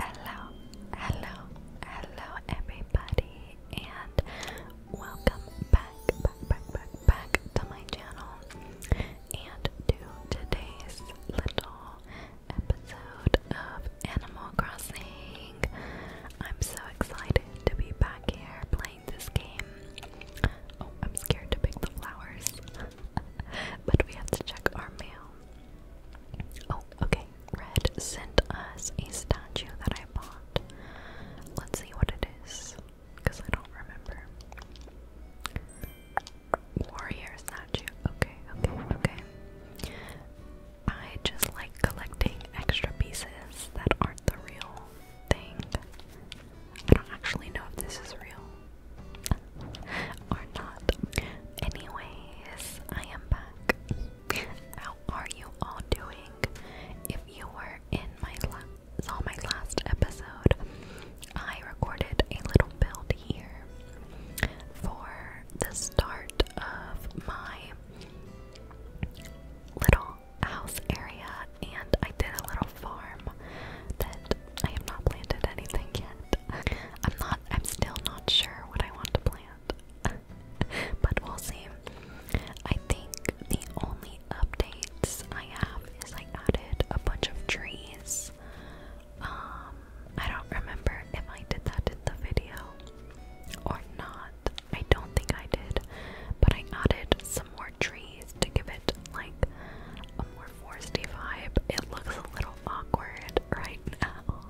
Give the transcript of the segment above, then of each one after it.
Hello, hello, hello, everybody, and welcome back, back, back, back, back to my channel and to today's little episode of Animal Crossing. I'm so excited to be back here playing this game. Oh, I'm scared to pick the flowers but we have to check our mail. Oh, okay. Red sent us a statue that I bought. Let's see what it is, because I don't remember. Warrior statue. Okay, okay, okay. I just like collecting extra pieces that aren't the real thing. I don't actually know if this is real or not. Anyways, I am back. How are you all doing? If you were in my last episode, I recorded a little build here for the start of my little house area and I did a little farm that I have not planted anything yet. I'm not I'm still not sure what I want to plant. but we'll see. I think the only updates I have is I added a bunch of trees. Um I don't remember if I did that in the video or not. I don't think I did, but I added some more trees to give it like a more foresty vibe. It looks a little awkward right now.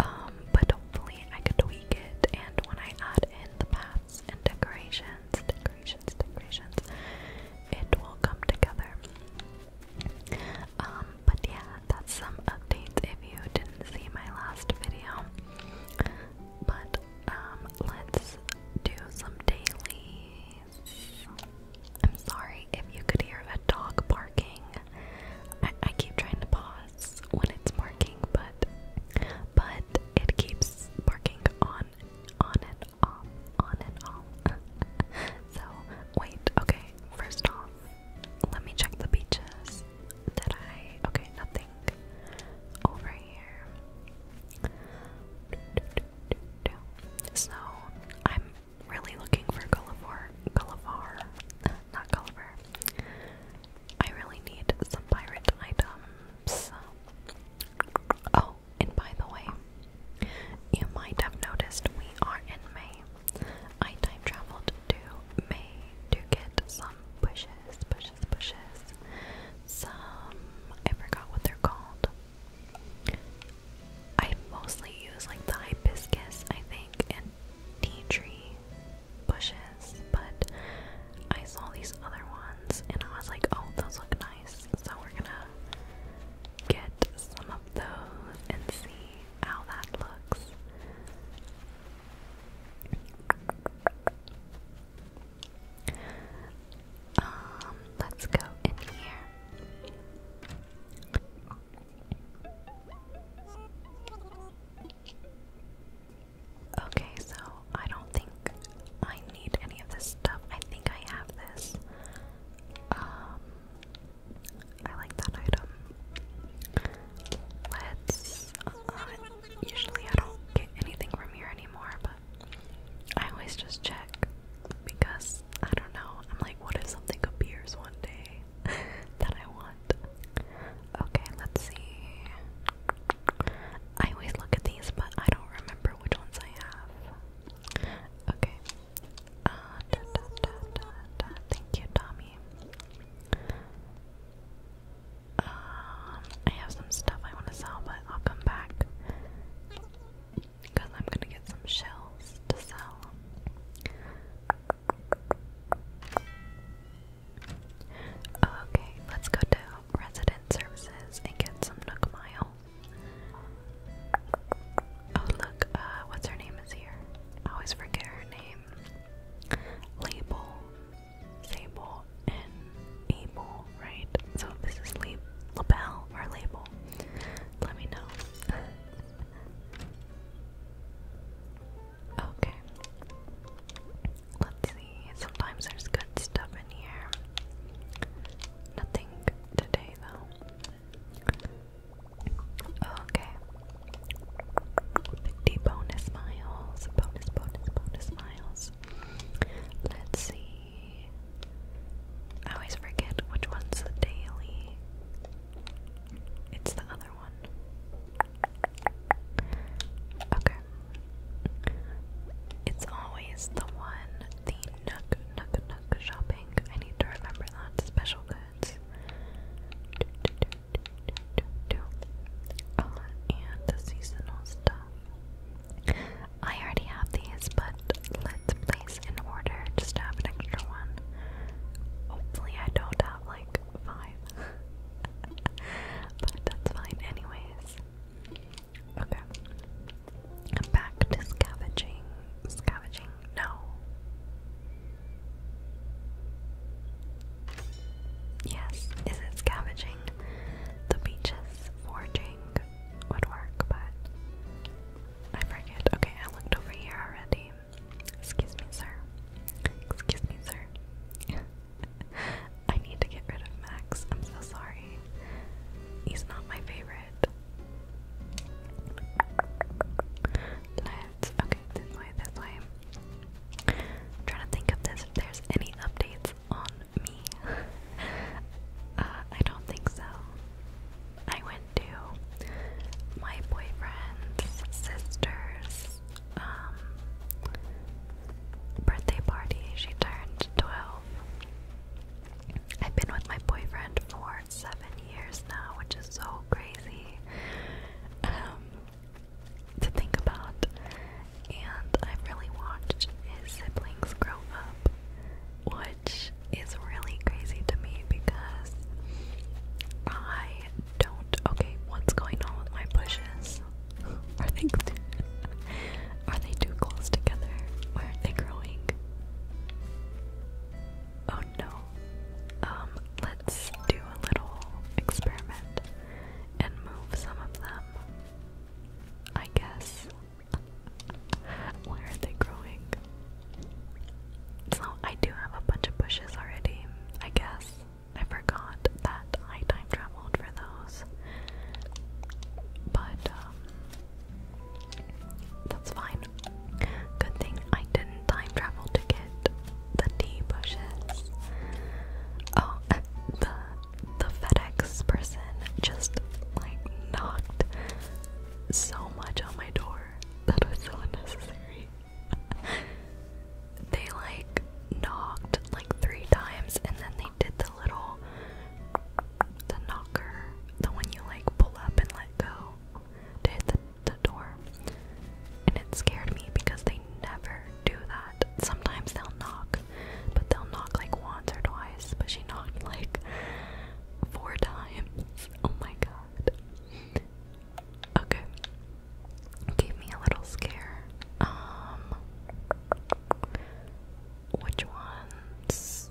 Um, but hopefully I could tweak it and when I add in the paths and decorations, decorations, decorations, it will come together. Um, but yeah, that's some updates if you didn't see my last video. But um, let's do some dailies. I'm sorry if you could hear a dog barking. I, keep trying to pause when it's barking, but but it keeps barking on on and off, on and off. so wait, okay. First off, let me check the beaches that I okay, nothing over here. So I'm really looking for Gullivar. Gullivar. Not Gulliver. I really need some pirate items. Oh, and by the way, you might have noticed we are in May. I time traveled to May to get some bushes, bushes, bushes. Some, I forgot what they're called. I mostly use like the hibiscus, I think, and tea tree bushes, but I saw these other ones and I was like, oh, those look nice. So we're gonna get some of those and see how that looks. Um, let's go in here. Okay, so I don't think I need any of this stuff. I think I have this. Um, I like that item. Let's. Uh, usually, I don't get anything from here anymore, but I always just check because I don't know. I'm like, what if something appears one day that I want? Okay, let's see. I always look at these, but I don't remember which ones I have. Okay. Uh, da, da, da, da, da. Thank you, Tommy. Um, I have some stuff I want to sell, but I'll come back because I'm gonna get some shells to sell. Okay, let's go to resident services and get some Nook Mile. Oh look, uh, what's her name is here? I always forget her name. Label, Sable, and Abel, right? So this is Label, Label or Label. Let me know. Okay. Let's see. Sometimes there's good stuff in here. Nothing today, though. Okay. 50 bonus miles. Bonus, bonus, bonus miles. Let's see. I always forget which one's the daily. It's the other one. Okay. It's always the one, the Nook Nook Nook shopping. I need to remember that. Special goods. Do, do, do, do, do, do. and the seasonal stuff. I already have these, but let's play in order just to have an extra one. Hopefully, I don't have like five. but that's fine, anyways. Okay. Back to scavenging. Scavenging? No. Yes, is it scavenging? The beaches forging would work, but I forget. Okay, I looked over here already. Excuse me, sir. Excuse me, sir. I need to get rid of Max. I'm so sorry. He's not my favorite. Okay, this way, this way. trying to think of this if there's any updates on me. Uh, I don't think so. I went to my boyfriend's sister's um, birthday party. She turned 12. I've been with my boyfriend for seven years now, which is so crazy um, to think about. And I've really watched his siblings grow up, which it's really crazy to me because I don't. Okay, what's going on with my bushes? Are they are they too close together? Where are they growing? Oh no. Um, let's do a little experiment and move some of them. I guess. Where are they growing? So I do have a bunch of bushes already, I guess. I forgot that I time traveled for those. But um, that's fine. Good thing I didn't time travel to get the tea bushes. Oh the the FedEx person just like knocked so much on my door. That was so unnecessary. they like knocked like three times and then they did the little the knocker, the one you like pull up and let go to hit the, the door. And it scared me because they never do that. Sometimes they'll knock, but they'll knock like once or twice, but she knocked like four times. Oh my god. Okay. Gave me a little scare. Um which ones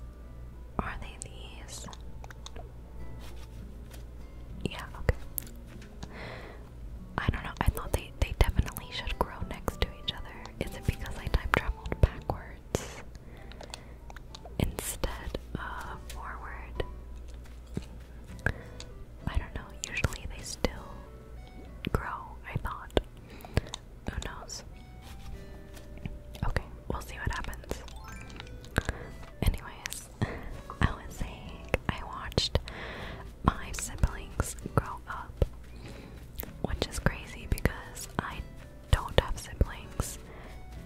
are they these? Yeah, okay. I don't know. I thought they they definitely should grow next to each other. Is it because I time traveled backwards? instead of forward. I don't know, usually they still grow, I thought. Who knows? Okay, we'll see what happens. Anyways, I was saying I watched my siblings grow up, which is crazy because I don't have siblings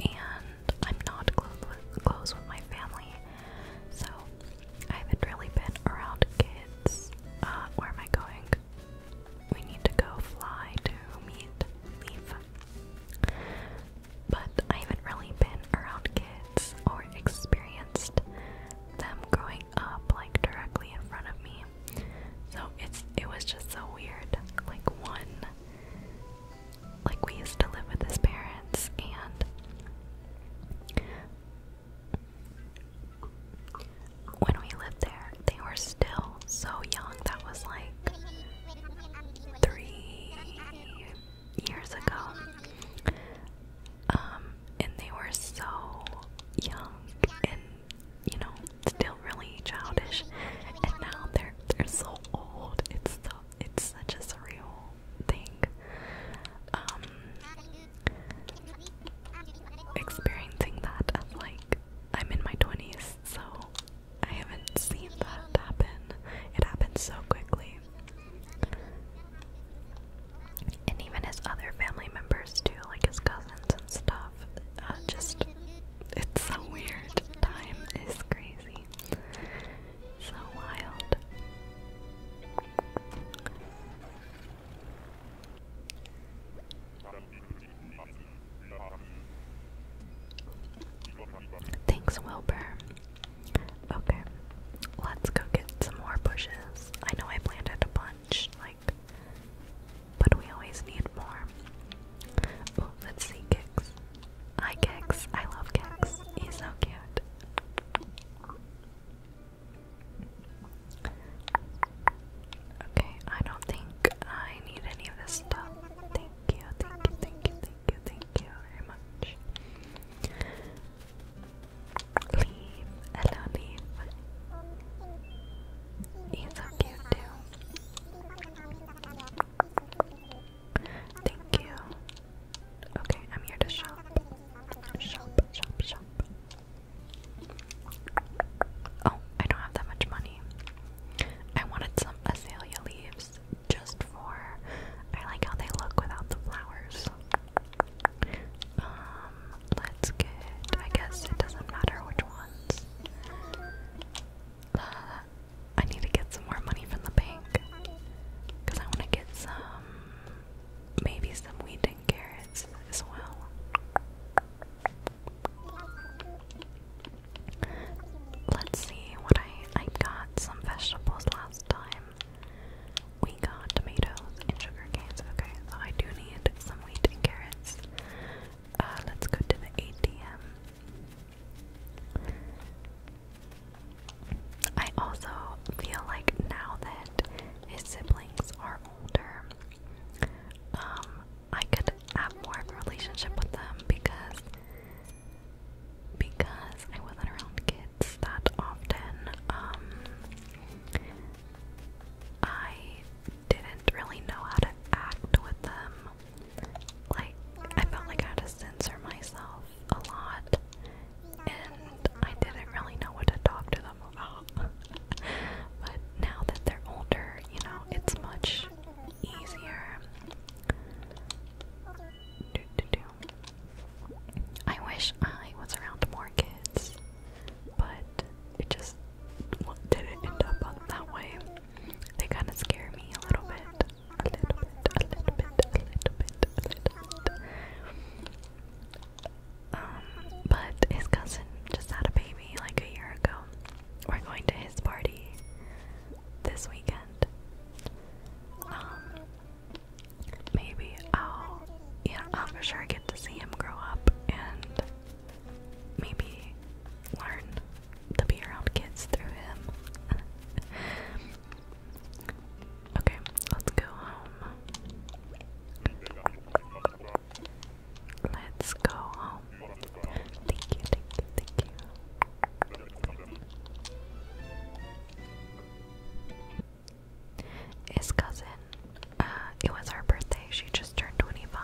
and I'm not close with, my family, so I haven't really been around kids. Uh, where am I going? We need to go fly to meet Leaf. But I haven't really been around kids or experienced them growing up like directly in front of me. So it's it was just so weird. Like one like we used to live with his parents and when we lived there they were still so young that was like three years ago um, and they were so young and you know still really childish and now they're they're so old it's so it's such a surreal thing. Um, experiencing that like I'm in my 20s, so I haven't seen that happen. It happened so quickly. And even his other family members too, like his cousins and stuff. Uh, just, it's a weird time. It's crazy. So wild. Thanks, Wilbur. Okay, let's go get some more bushes. I know I planted a bunch, like, but we always need more. Oh, let's see, kicks. Hi Kex, I love Kex. He's so cute. Okay, I don't think I need any of this stuff. Thank you, thank you, thank you, thank you, thank you very much. Leave, hello, leave. He's so cute too. Thank you. Okay, I'm here to shop. Shop, shop, shop. Oh, I don't have that much money. I wanted some azalea leaves just for. I like how they look without the flowers. Um, let's get. I guess it doesn't matter which ones. Uh, I need to get some more money from the bank. Because I want to get some. Maybe some wheat and carrots as well. Let's see what I. I got some vegetables last time. We got tomatoes and sugar canes. Okay, I do need some wheat and carrots. Uh, let's go to the ATM. I also feel like now that his siblings are older, um, I could have more of a relationship with them because because I wasn't around kids that often. Um, I didn't really know how to act with them like, I felt like I had to censor myself a lot, and I didn't really know what to talk to them about. but now that they're older, you know, it's much easier. I wish I was around more kids, but it just didn't end up that way. They kind of scare me a little bit a little bit, a little bit, a little bit, a little bit. Um, but his cousin just had a baby like a year ago. We're going to his party this weekend. Um, maybe I'll, yeah, I'll for sure get to see him grow up and maybe learn to be around kids through him. Okay, let's go home. Let's go home. Thank you, thank you, thank you. His cousin, uh, it was her birthday, she just turned 25.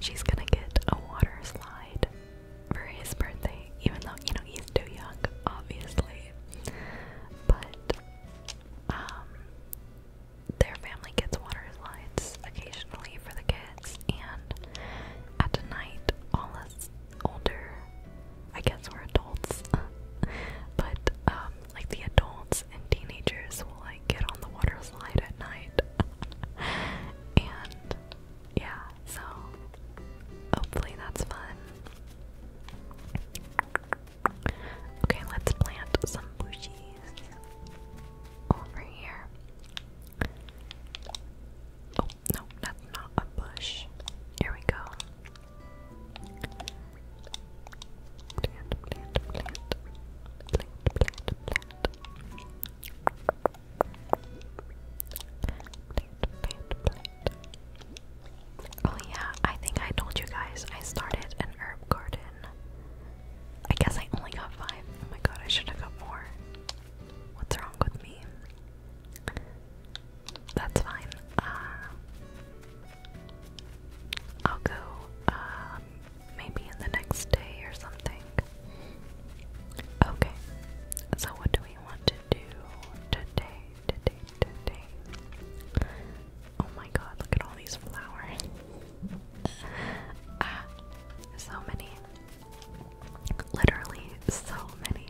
She's gonna get a water slide for his birthday, even though, you know, he's too young, obviously. But, um, their family gets water slides occasionally for the kids, and at night, all us older, I guess we're adults, but, um, like the adults and teenagers will, like, get on the water slide at night. and yeah, so hopefully that's fun. Okay, let's plant some bushies over here. Oh, no, that's not a bush. Here we go. Plant, plant, plant. Plant, plant, plant. Oh yeah, I think I told you guys I started an herb garden. I guess I only got five. Oh my god, I should have got more. What's wrong with me? That's fine. Uh, I'll go um, maybe in the next day or something. Okay, so what do we want to do today, today, today. Oh my god, look at all these flowers. Ah, so many. Literally, so many.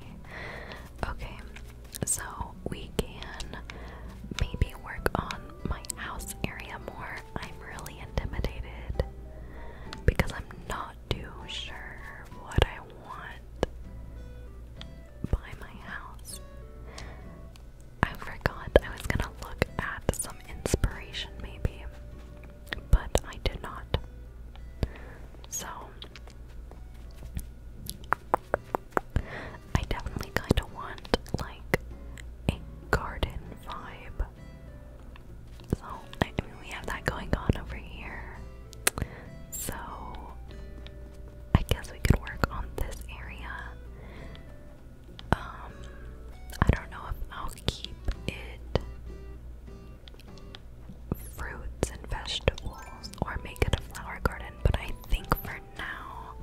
Okay, so we can maybe work on my house area more. I'm really intimidated because I'm not too sure what I I want by my house. I forgot I was gonna look at some inspiration maybe, but I did not. So, I definitely kind of want like a garden vibe. So, I mean, we have that going on over here. So I guess we could work on this area. Um, I don't know if I'll keep it fruits and vegetables or make it a flower garden, but I think for now,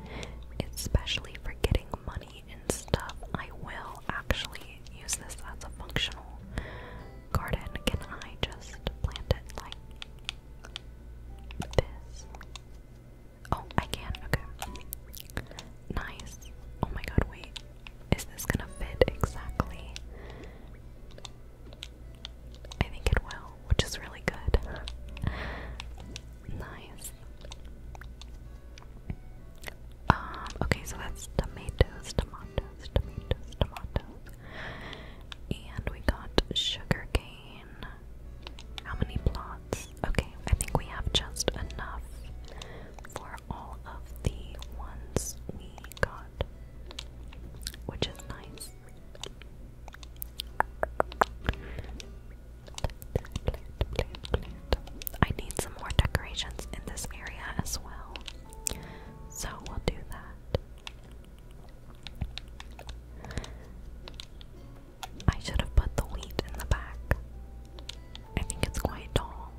especially for getting money and stuff, I will actually use this as a functional garden, can I just plant it like this? Oh, I can. Okay. Nice. Oh my god, wait. Is this gonna fit exactly? I think it will, which is really good. nice. Um, okay, so that's tomatoes, tomatoes tomatoes, tomatoes, And we got sugar cane. How many plots? Okay, I think we have just enough for all of the ones we got, which is nice. I need some more decorations in this area as well. So we'll do that. I should have put the wheat in the back. I think it's quite tall.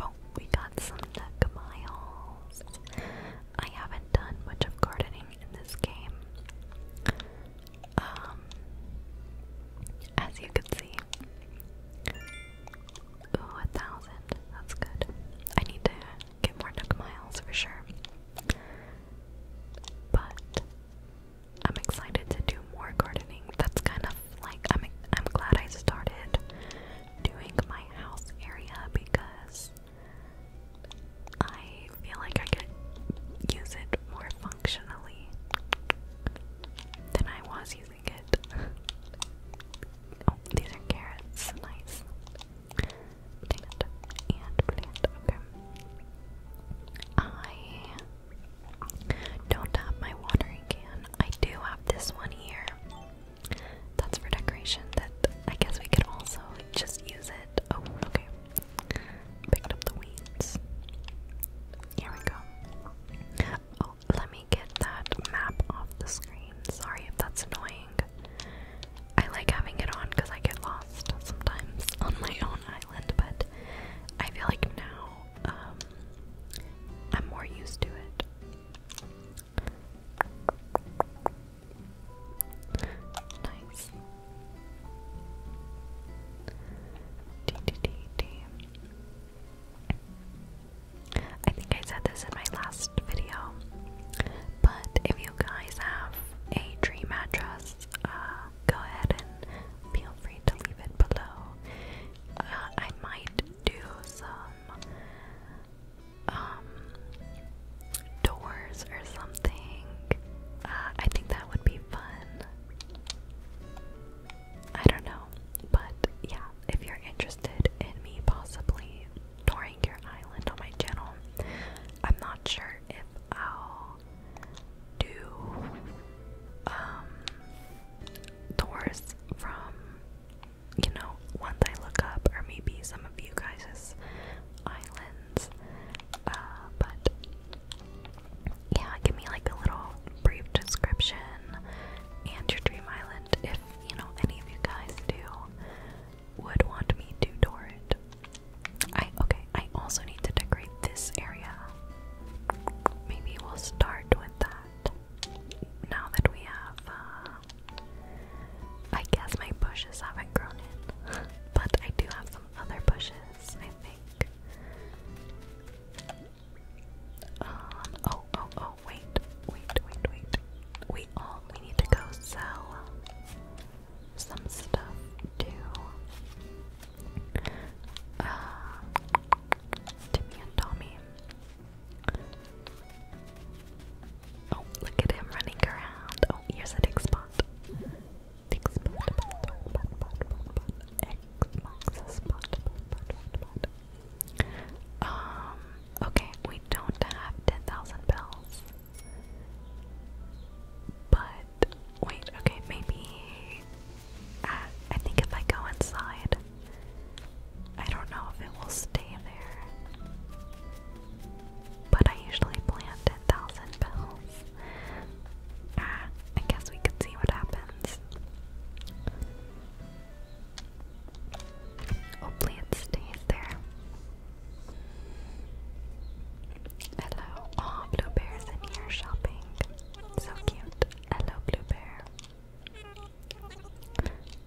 Oh, we got some duck I haven't done much of gardening in this game. Um, as you can see, Ooh, a thousand. That's good. I need to get more Nook Miles for sure. But I'm excited to do more gardening. That's kind of like I'm I'm glad I started doing my house area because I feel like I could use it more functionally than I was using oh, these are carrots. Nice. and Okay. I don't have my watering can. I do have this one here. That's for decoration. That I guess we could also just use it. Oh, okay. Picked up the weeds. Here we go. Oh, let me get that map off the screen. Sorry if that's annoying. I like having it on because I get lost sometimes on my own island, but I feel like now um, I'm more used to it. Nice. D -d -d -d. I think I said this in my last video, but if you guys have a dream address, uh, go ahead and feel free to leave it below. Uh, I might do some um, doors or something. Uh, I think that would be fun. I don't know, but yeah, if you're interested in me possibly touring your island on my channel. I'm not sure if I'll do um tours from you know once I look up or maybe some of you guys' islands. Uh, but yeah, give me like a little brief description and your dream island if you know, any of you guys do, would want me to door it. I, okay, I also need to decorate this area. Maybe we'll start with that. Now that we have, uh, I guess my bushes haven't grown in, but I do have some other bushes, I think. Um, oh, oh, oh, oh, wait, wait, wait, wait. We we need to go sell some stuff to, uh, Timmy and Tommy. Oh, look at him running around. Oh, here's a dig spot, um, okay, we don't have 10,000 bells. But, wait, okay, maybe. Uh, I think if I go inside, I don't know if it will stay there. But I usually plant 10,000 bells. Ah, I guess we could see what happens. Hopefully it stays there. Hello. Aw, oh, Blue in here shopping. So cute. Hello, Blue Bear.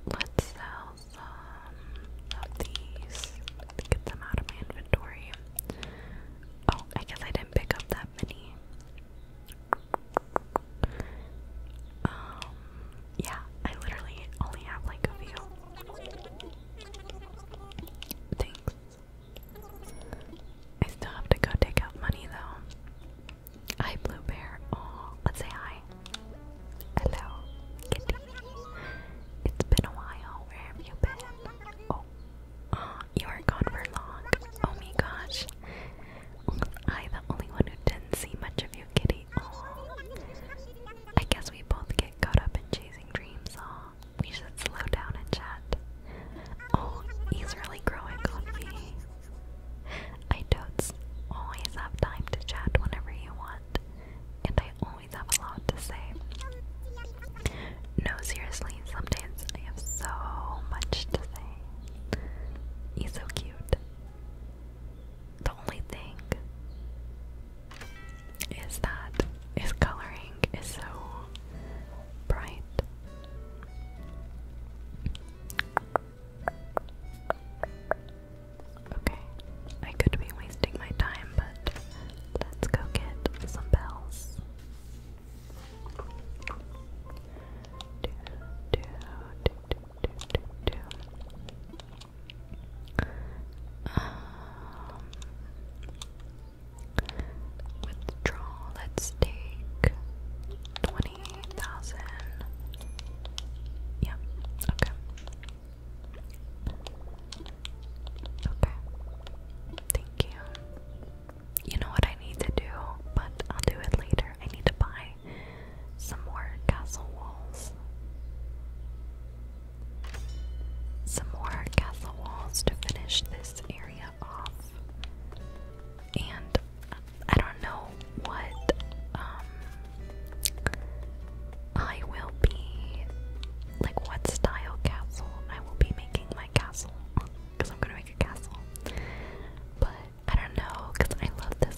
Let's sell some of these. get them out of my inventory. Oh, I guess I didn't pick up that many. Um, yeah, I literally only have like a few. Thanks. I still have to go take out money though. Hi, Blue Bear. Oh, let's say hi. Hello, Kitty. It's been a while. Where have you been? Oh, oh you were gone for long. Oh my gosh. Was I the only one who didn't see much of you, Kitty? I guess we both get caught up in chasing dreams, huh? We should slow down and chat. Oh, he's really growing on me. I totes always have time to chat whenever you want, and I always have a lot to say. No, seriously, sometimes I have so much to say. He's so cute the only thing is that his coloring is so bright. Okay, I could be wasting my time, but let's go get some bells. Um, let's take 20,000. Yeah, okay. Okay. Thank you. You know what I need to do, but I'll do it later. I need to buy some more castle walls. Some more castle walls to finish this area off. And I don't know what um, I will be, like, what style castle I will be making my castle. Because I'm gonna make a castle. But I don't know, because I love this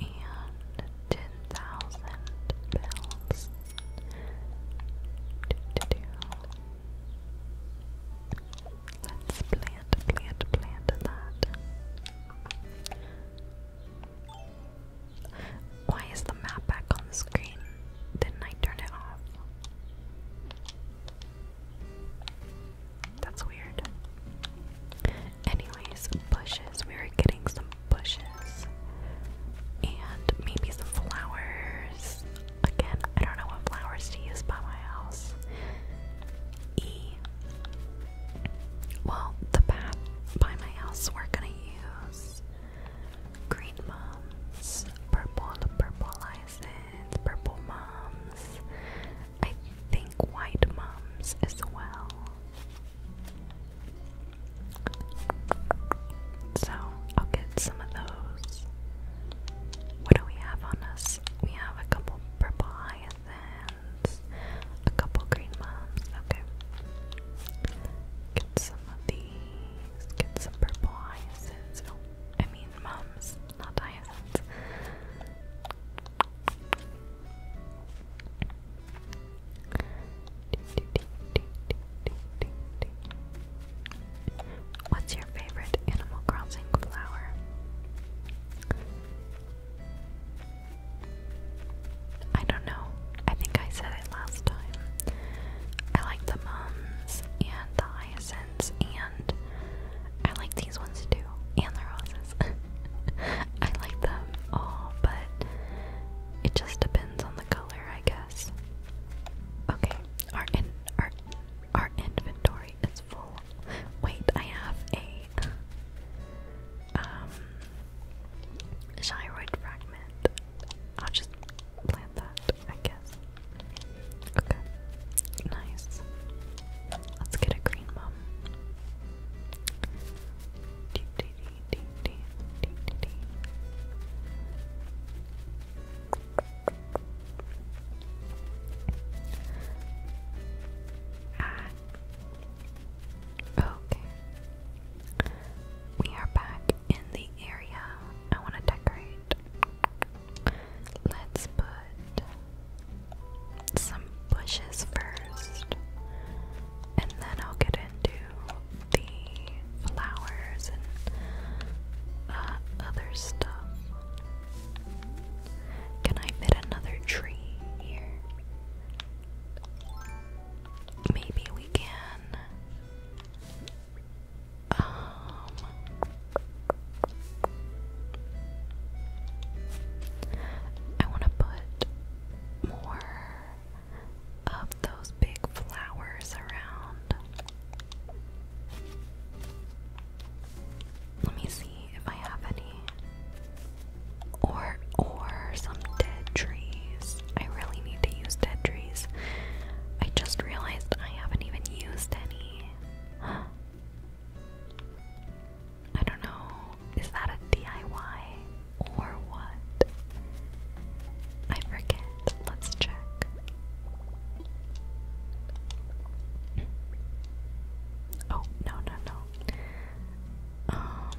and ten thousand bells. Let's plant, plant, plant that. Why is the map back on the screen? Didn't I turn it off? That's weird. Anyways, bushes. We were getting some bushes. And maybe some flowers. Again, I don't know what flowers to use by my house. E. Well, the path by my house, we're gonna use green mums, purple purple license, purple mums, I think white mums as well. So I'll get some of those. What do we have on us? We have a couple purple hyacinths, a couple green mums. Okay. Get some of these. Get some purple hyacinths. Oh, I mean mums, not hyacinths. What's your favorite Animal Crossing flower? I don't know. I think I said it last time. I like the mums and the hyacinths and I like these ones too, and their houses. I like them all, but it just depends on the color, I guess. Okay, our in our our inventory is full. Wait, I have a um gyroid fragment. I'll just plant that, I guess. Okay, nice. Let's get a green mom. Ah. Okay. We are back in the area. I want to decorate. Let's put some bushes first, and then I'll get into the flowers and uh, other stuff. Can I fit another tree here? Maybe we can. Um, I want to put more of those big flowers around. Let me see if I have any. Or or some dead trees. I really need to use dead trees. I just realized I haven't even used any. I don't know, is that a DIY or what? I forget. Let's check. Oh, no, no, no. Um,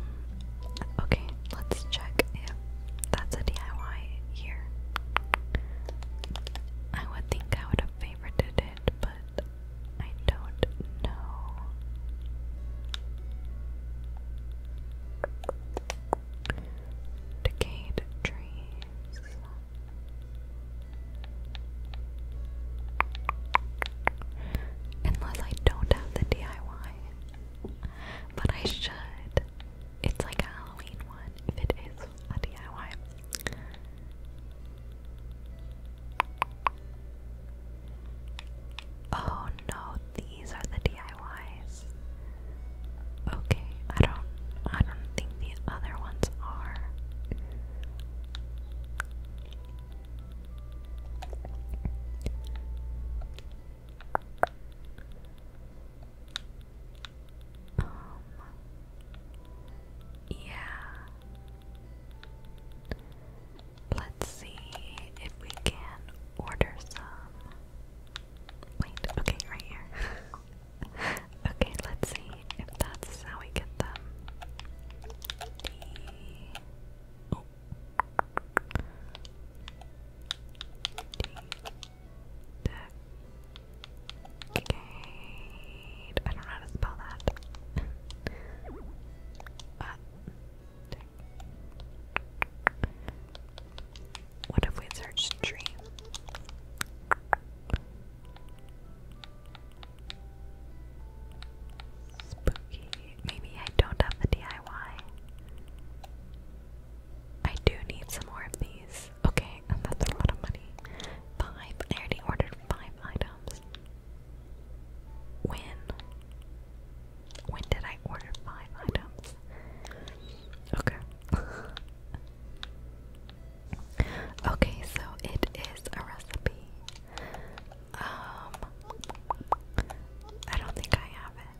okay, let's check if that's a DIY here. I would think I would have favorited it, but I don't know. Decayed trees. Unless I don't have the DIY. But I should. It's like a Halloween one if it is a DIY. Oh no, these are the DIYs. Okay, I don't I don't think the other ones are. Um, yeah, Let's see if we can order some. Wait, okay, right here. okay, let's see if that's how we get them. The... Okay. I don't know how to spell that. Uh, what if we search tree? Spooky. Maybe I don't have the DIY. I do need some more of these. Okay, that's a lot of money. Five. I already ordered five items. When? When did I order five items? Okay. okay, so it is a recipe. Um, I don't think I have it.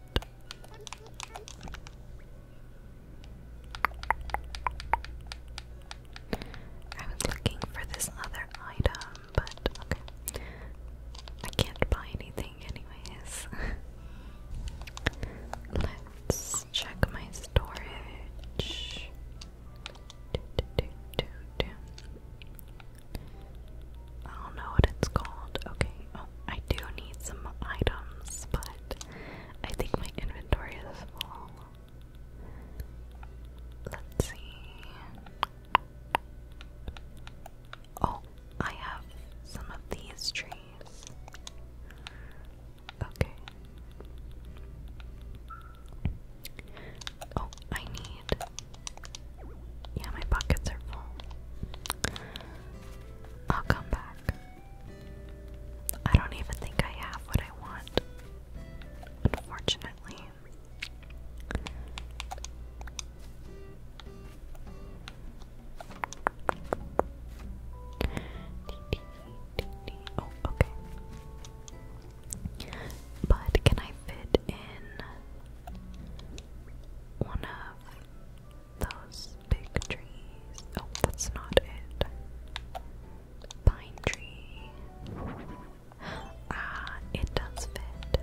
I was looking for this other item, but okay. I can't buy anything, anyways. Let's check my storage. Do, I don't know what it's called. Okay. Oh, I do need some items, but I think my inventory is full. Let's see. Oh, I have some of these trees. Okay. Oh, I need. Yeah, my pockets are full. I'll come back. I don't even think I have what I want, unfortunately. Oh, okay. But can I fit in one of those big trees? Oh, that's not it. Pine tree. Ah, it does fit.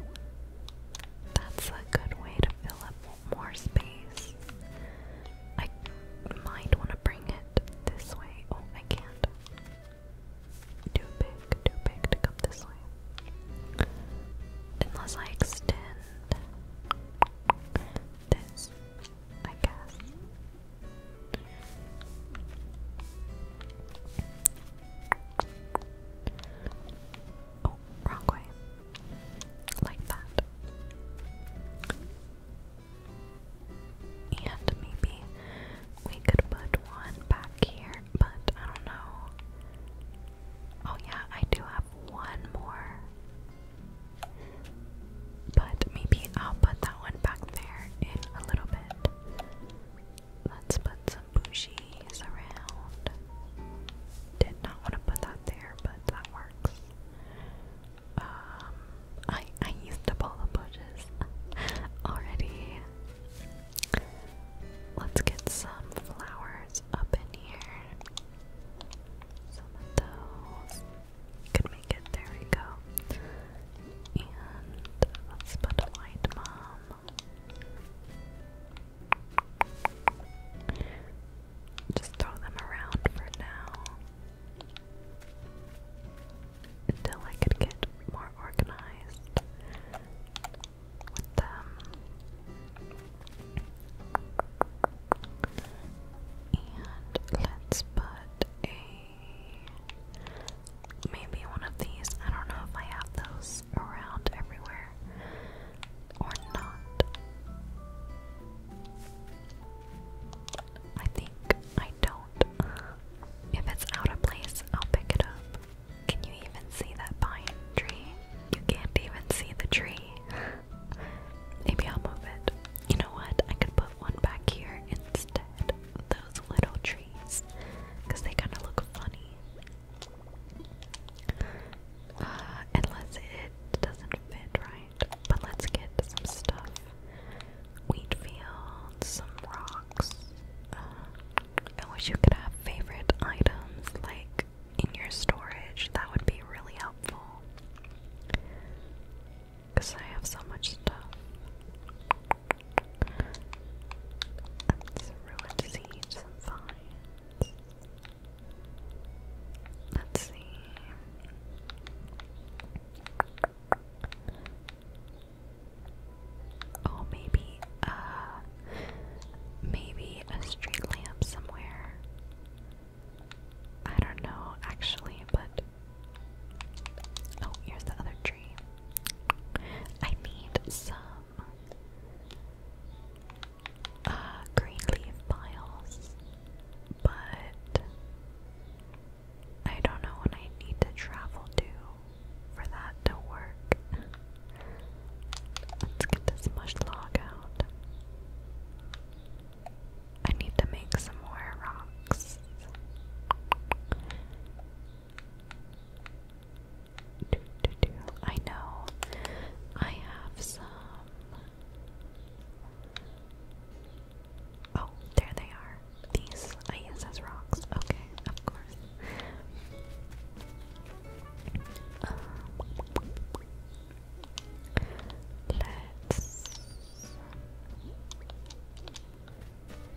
That's a good way to fill up more space. I might want to bring it this way. Oh, I can't. Too big, too big to come this way. Unless I extend this, I guess. Oh, wrong way. Like that. And maybe we could put one back here, but I don't know. Oh, yeah, I do have one more. But maybe I'll put that one back there in a little bit. Let's put some bushies around. Did not want to put that there, but that works. Um, I I used to pull the bushes already. Let's get some flowers up in here. Some of those. Could make it. There we go. And let's put a white mom. Just throw them around for now. Until I could get more organized with them. And let's put a Maybe one of these. I don't know if I have those around everywhere or not. I think I don't. If it's out of place, I'll pick it up. Can you even see that pine tree? You can't even see the tree. Maybe I'll move it. You know what? I could put one back here instead. Those little because they kind of look funny. Uh, unless it doesn't fit right. But let's get some stuff. Wheat fields, some rocks. Uh, I wish you could have favorite items like in your storage. That would be really helpful. Because I have so much stuff. That's ruined seeds Let's see. Oh, maybe, uh, maybe a street lamp somewhere. I don't know, actually, but. Oh, here's the other tree. I need some uh, green leaf piles, but I don't know when I need to travel to for that to work. Let's get this mush log out. I need to make some more rocks. I know I have some. Oh, there they are. These I rocks. Okay, of course. Um, let's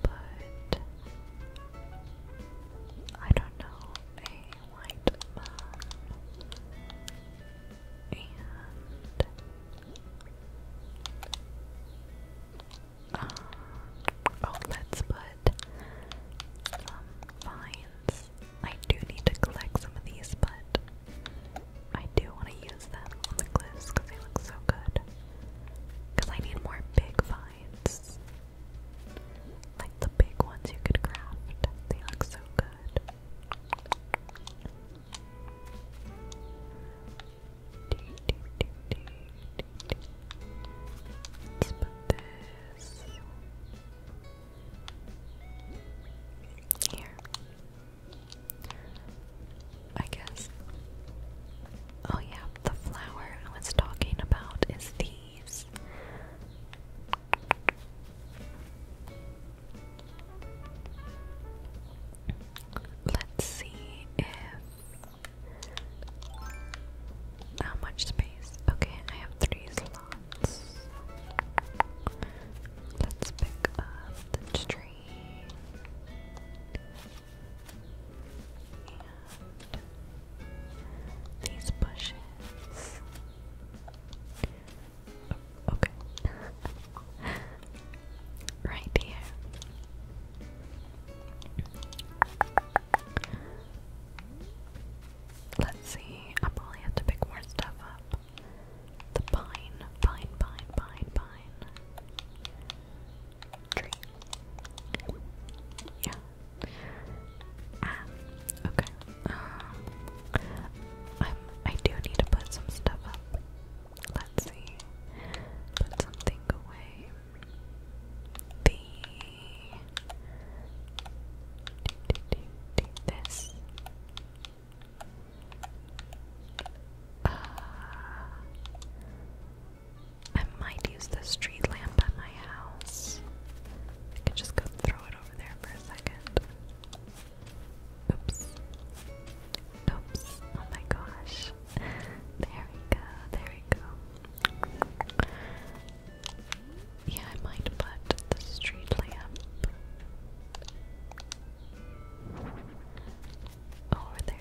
but I don't know a white and um, oh, let's put um vines. I do need to collect some of these but I do want to use them on the cliffs because they look so good. Because I need more big vines designs. Like the big ones you could craft. They look so good. Let's put this here. I guess. Oh, yeah, the flower I was talking about is these. Let's see if. How much space? Okay, I have three slots. Let's pick up the tree these bushes. okay. right here. Let's see. I probably have to pick more stuff up. The pine, pine, pine, pine, pine. Yeah. Um, okay. Um, i I do need to put some stuff up. Let's see. Put something away. The. this. Uh, I might use the street lamp at my house. I could just go throw it over there for a second. Oops. Oops. Oh my gosh. There we go. There we go. Yeah, I might put the street lamp over there.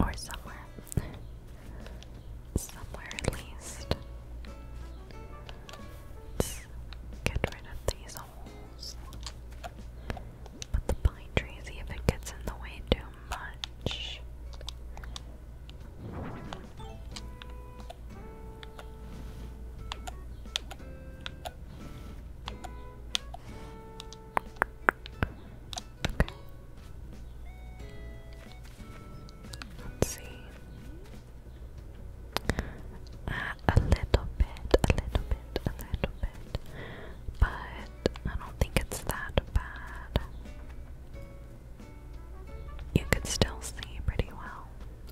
Or somewhere. somewhere at least. get rid of these holes. But the pine tree, see gets in the way too much. Okay. Let's see. Uh, a little bit, a little bit, a little bit. But I don't think it's that bad. You could still see pretty well.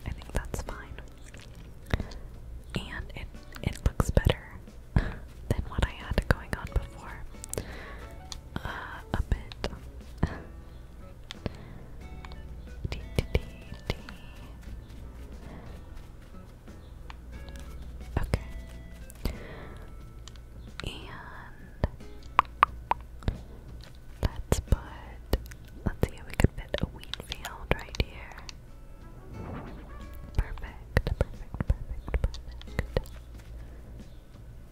I think that's fine. And it it looks better than what I had going on before. Uh, a bit. Okay. And let's put, let's see if we could fit a wheat field right here. perfect.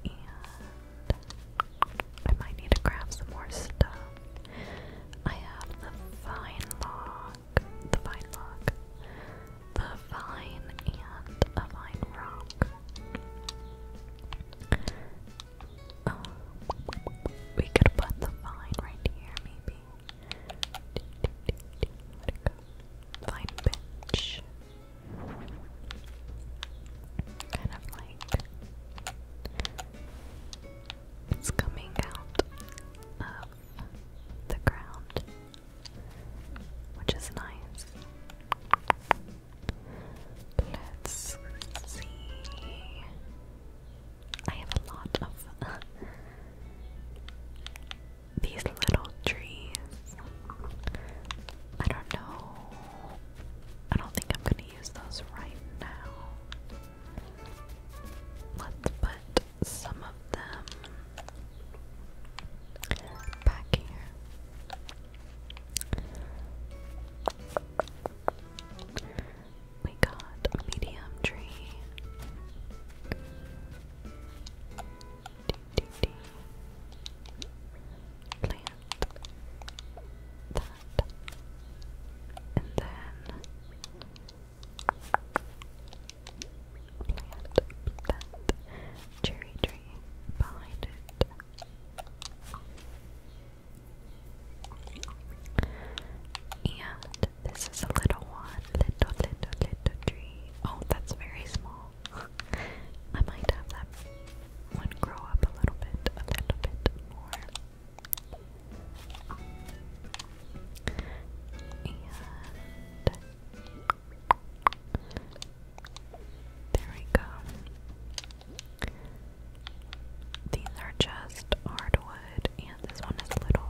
And I might need to grab some more stuff. I have the vine log, the vine log, the vine, and a vine rock. Um, we could put the vine right here, maybe line bench. Kind of like it's coming out of the ground, which is nice. Let's see. I have a lot of these little trees. I don't know. I don't think I'm gonna use those right now. Let's put some of them back here. We got a medium tree duty plant that and then plant that cherry tree behind it. And this is a little one, little, little, little tree. Oh, that's very small. I might have that one grow up a little bit, a little bit more. And there we go. These are just hardwood, and this one is little.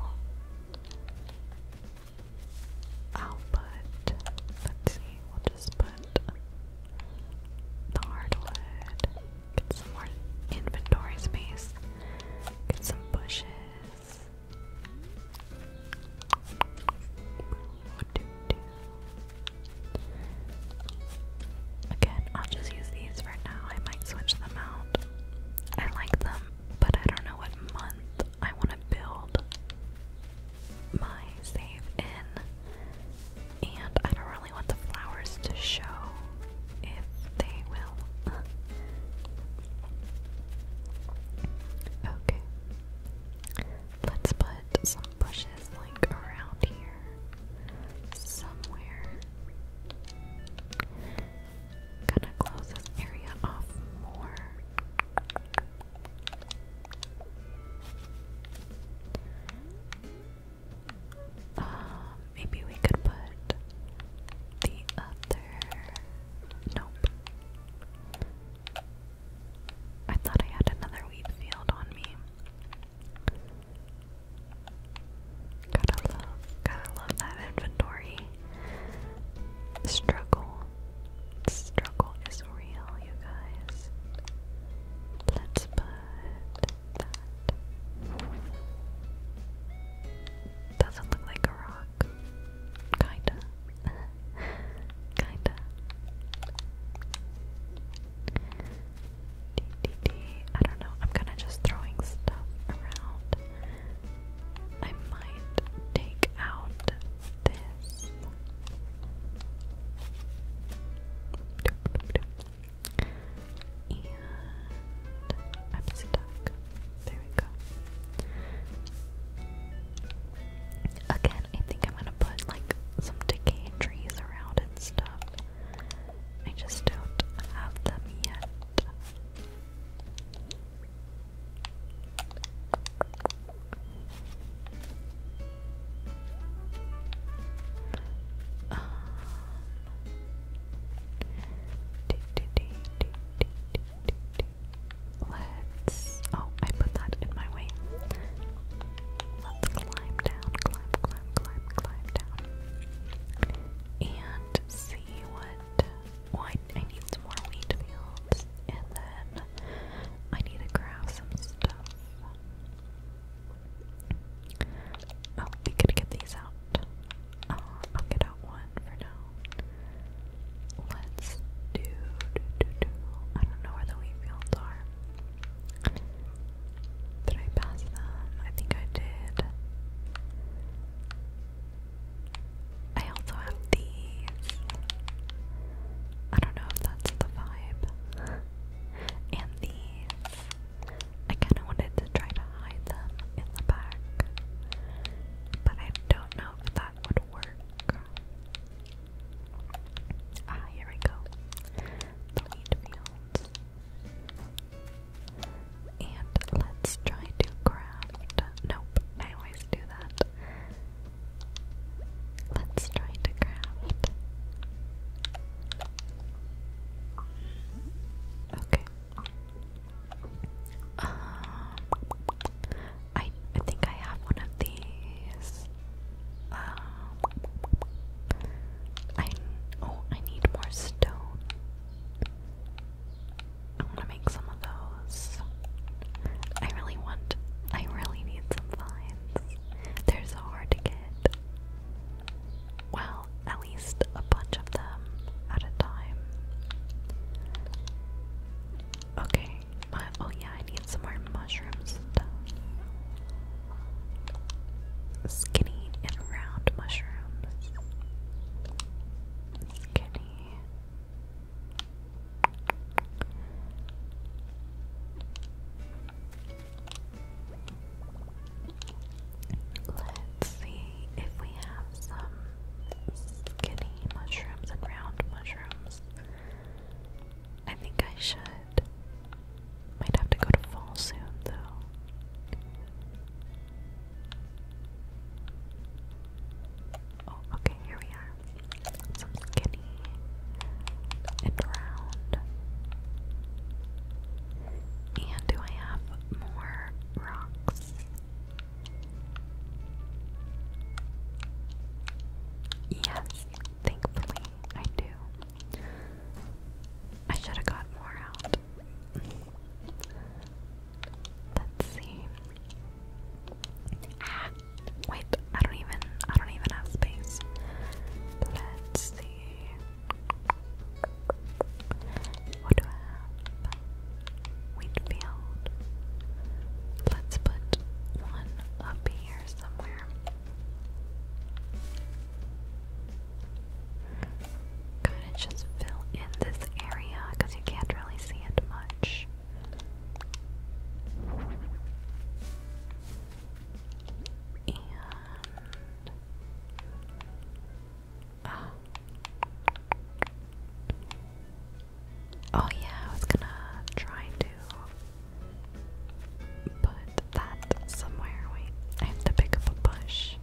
I'll put, let's see, we'll just put the hardwood, get some more inventory space, get some bushes. Again, I'll just use these for now. I might switch them out. I like them, but I don't know what month I want to build my save in, and I don't really want the flowers to show if they will. okay, let's put some bushes like around here somewhere. Gonna close this area off more. Um, maybe we could put the other. Nope. I thought I had another wheat field on me. Gotta love, gotta love that inventory. Struggle. Struggle is real, you guys. Let's put that. Doesn't look like a rock. Kinda. Kinda. D -d -d. I don't know. I'm kind of just throwing stuff around. I might take out this. And I'm stuck. There we go. Again, I think I'm gonna put like some decayed trees around and stuff. I just don't have them yet. Let's. Oh, I put that in my way. Let's climb down, climb, climb, climb, climb down, and see what I, need some more wheat fields, and then I need to grab some stuff. Oh, we could get these out. Uh, I'll get out one for now. Let's do. I don't know where the wheat fields are. Did I pass them? I think I did. I also have these. I don't know if that's the vibe. And these. I kind of wanted to try to hide them in the back, but I don't know if that would work. Ah, here we go. The wheat And let's try to craft. Nope, I always do that. Let's try to craft. Okay. Um, I I think I have one of these. Um, I oh I need more stone. I want to make some of those. I really want, I really need some finds. They're so hard to get. Well, at least a bunch of them at a time. Okay, but uh, oh yeah, I need some more mushrooms stuff. Skinny and round mushrooms. Skinny Let's see if we have some skinny mushrooms and round mushrooms. I think I should. Might have to go to fall soon, though. Oh, okay, here we are. Some skinny and round. And do I have more rocks? Yes, thankfully I do. I should have got more out. Let's see. Ah, wait, I don't even, I don't even have space. Let's see. What do I have? Wheatfield. Let's put one up here somewhere. Kind of just fill in this area because you can't really see it much. And oh. oh yeah, I was gonna try to put that somewhere. Wait, I have to pick up a bush.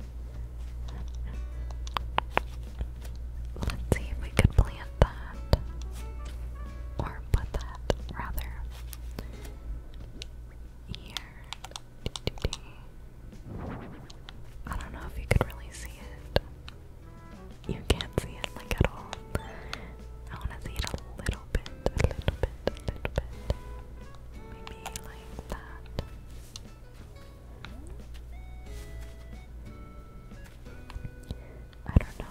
Let's see if we could plant plant that, or put that rather here. I don't know if you could really see it. You can't see it like at all. I want to see it a little bit, a little bit, a little bit. Maybe like that. I don't know.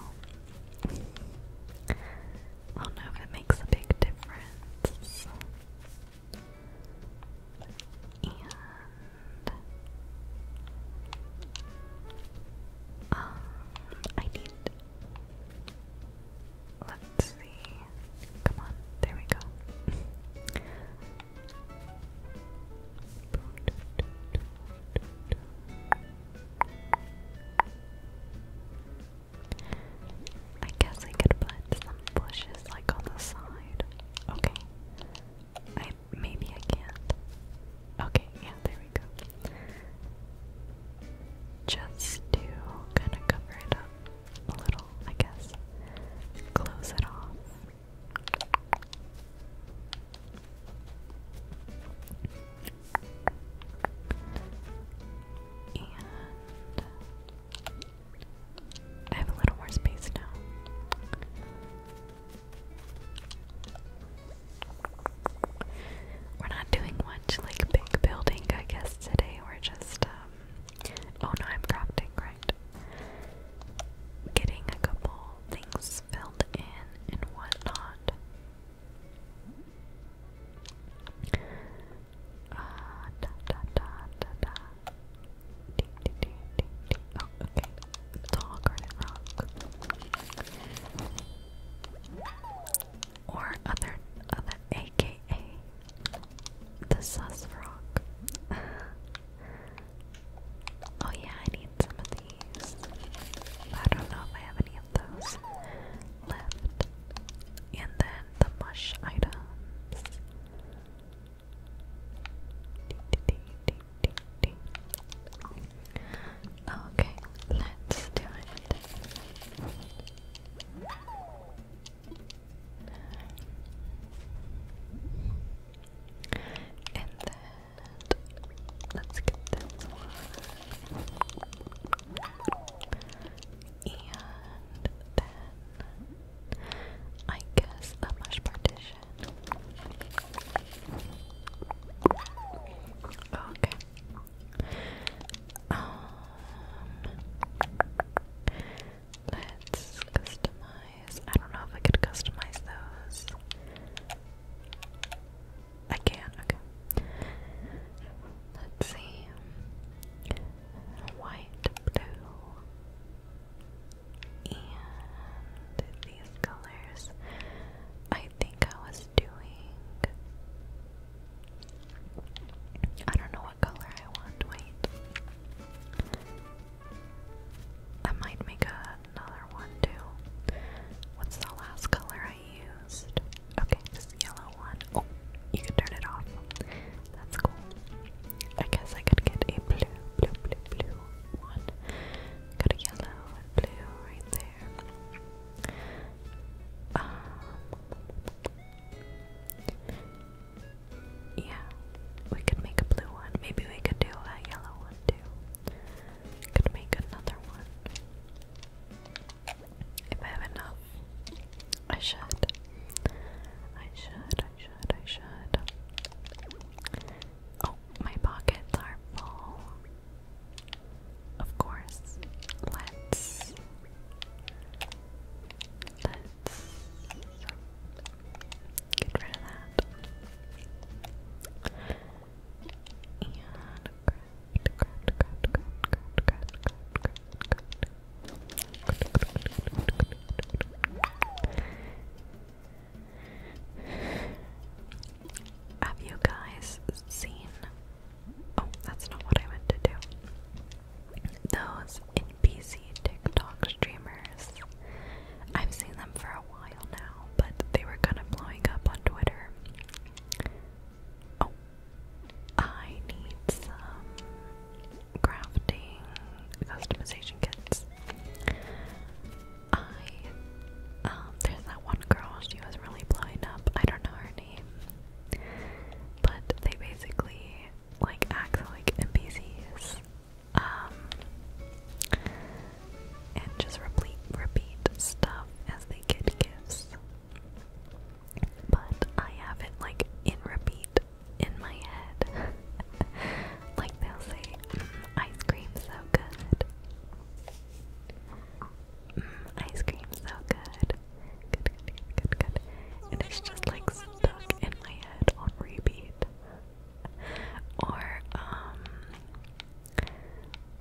I'll know if it makes a big difference. And um, I need. Let's see. Come on, there we go. I guess I could put some bushes like on the side. Okay. I maybe I can't. Okay, yeah, there we go. Just to kind of cover it up a little, I guess. Close it off. I have a little more space now. We're not doing much like big building, I guess, today. We're just, um, oh no, I'm crafting, right? Getting a couple things filled in and whatnot. Uh, da, da, da, da, da. Ding, ding, ding, ding, ding. Oh, okay. It's all garden rock. Or other, other, aka the sus rock. oh yeah, I need some of these. I don't know if I have any of those left. And then the mush items. Okay, let's do it. And Let's get this one. And then I guess a mush partition. Okay. Um let's customize. I don't know if I could customize those. I can, okay. Let's see. White, blue, and these colors. I think I was doing. I don't know what color I want. Wait. I might make a another one too. What's the last color I used? Okay, this yellow one. Oh, you can turn it off. That's cool. I guess I could get a blue, blue, blue, blue one. Got a yellow and blue right there. Um, yeah, we could make a blue one. Maybe we could do a yellow one too could make another one. If I have enough, I should. I should, I should, I should. Oh, my pockets are full. Of course. Let's. Let's get rid of that. Have you guys seen? Oh, that's not what I meant to do. Those NPC TikTok streamers. I've seen them for a while but they were kind of blowing up on Twitter. Oh, I need some crafting customization kits. I, um, there's that one girl, she was really blowing up. I don't know her name, but they basically like act like NPCs. Um, and just repeat, repeat stuff as they get gifts. But I have it like in repeat in my head. like they'll say, mm, ice cream so good. Mm, ice cream so Good, good, good, good, good. And it's just like stuck in my head on repeat. Or, um,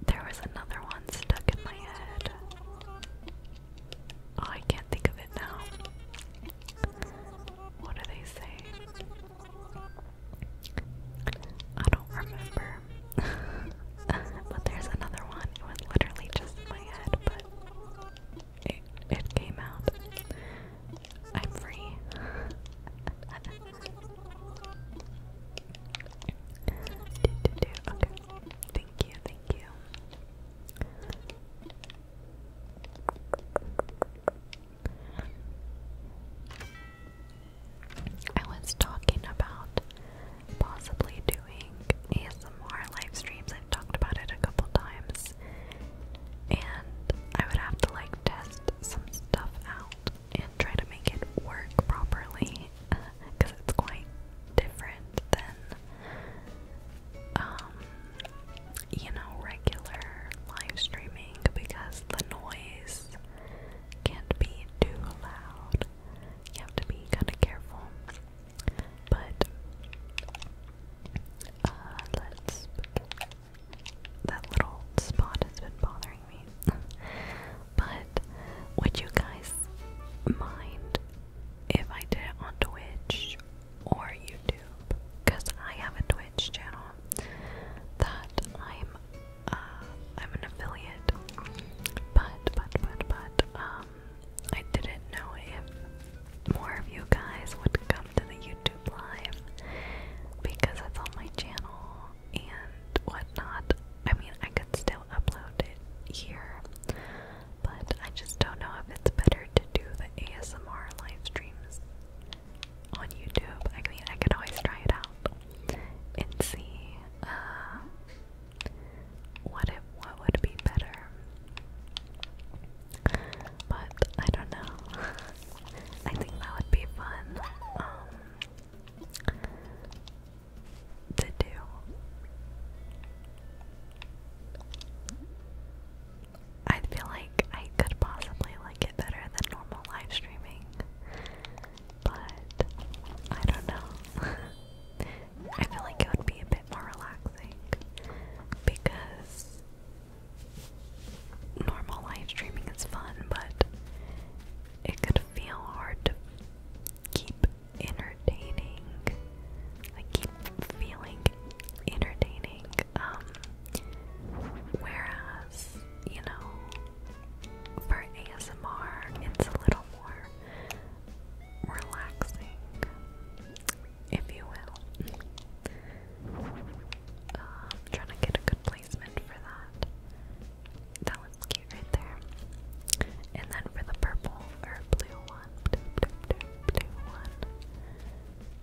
there was another one stuck in my head. Oh, I can't think of it now. What do they say? I don't remember. but there's another one. It was literally just in my head, but it it came out. I'm free. Okay. Thank you, thank you. I was talking about possibly doing some more live streams. I've talked about it a couple times. And I would have to like test some stuff out and try to make it work properly because it's quite different than, um, you know, regular live streaming because the noise can't be too loud. You have to be kind of careful. But, uh, let's. That little spot has been bothering but would you guys mind if I did it on Twitch or YouTube? Because I have a Twitch channel that I'm uh, I'm an affiliate. But but but but um I didn't know if more of you guys would come to the YouTube live because it's on my channel and whatnot. I mean, I could still upload it here, but I just don't know if it's better to do the ASMR live streams on YouTube. I mean, I could always try it out and see uh, what it what would be better. But I don't know. I think that would be fun. Um, to do. I feel like I could possibly like it better than normal live streaming, but I don't know. I feel like it would be a bit more relaxing because normal live streaming is fun, but it could feel hard to keep entertaining, like keep feeling entertaining. Um, whereas, you know, for ASMR, it's a little more relaxing, if you will. I'm um, trying to get a good replacement for that. That one's cute right there. And then for the purple or blue one,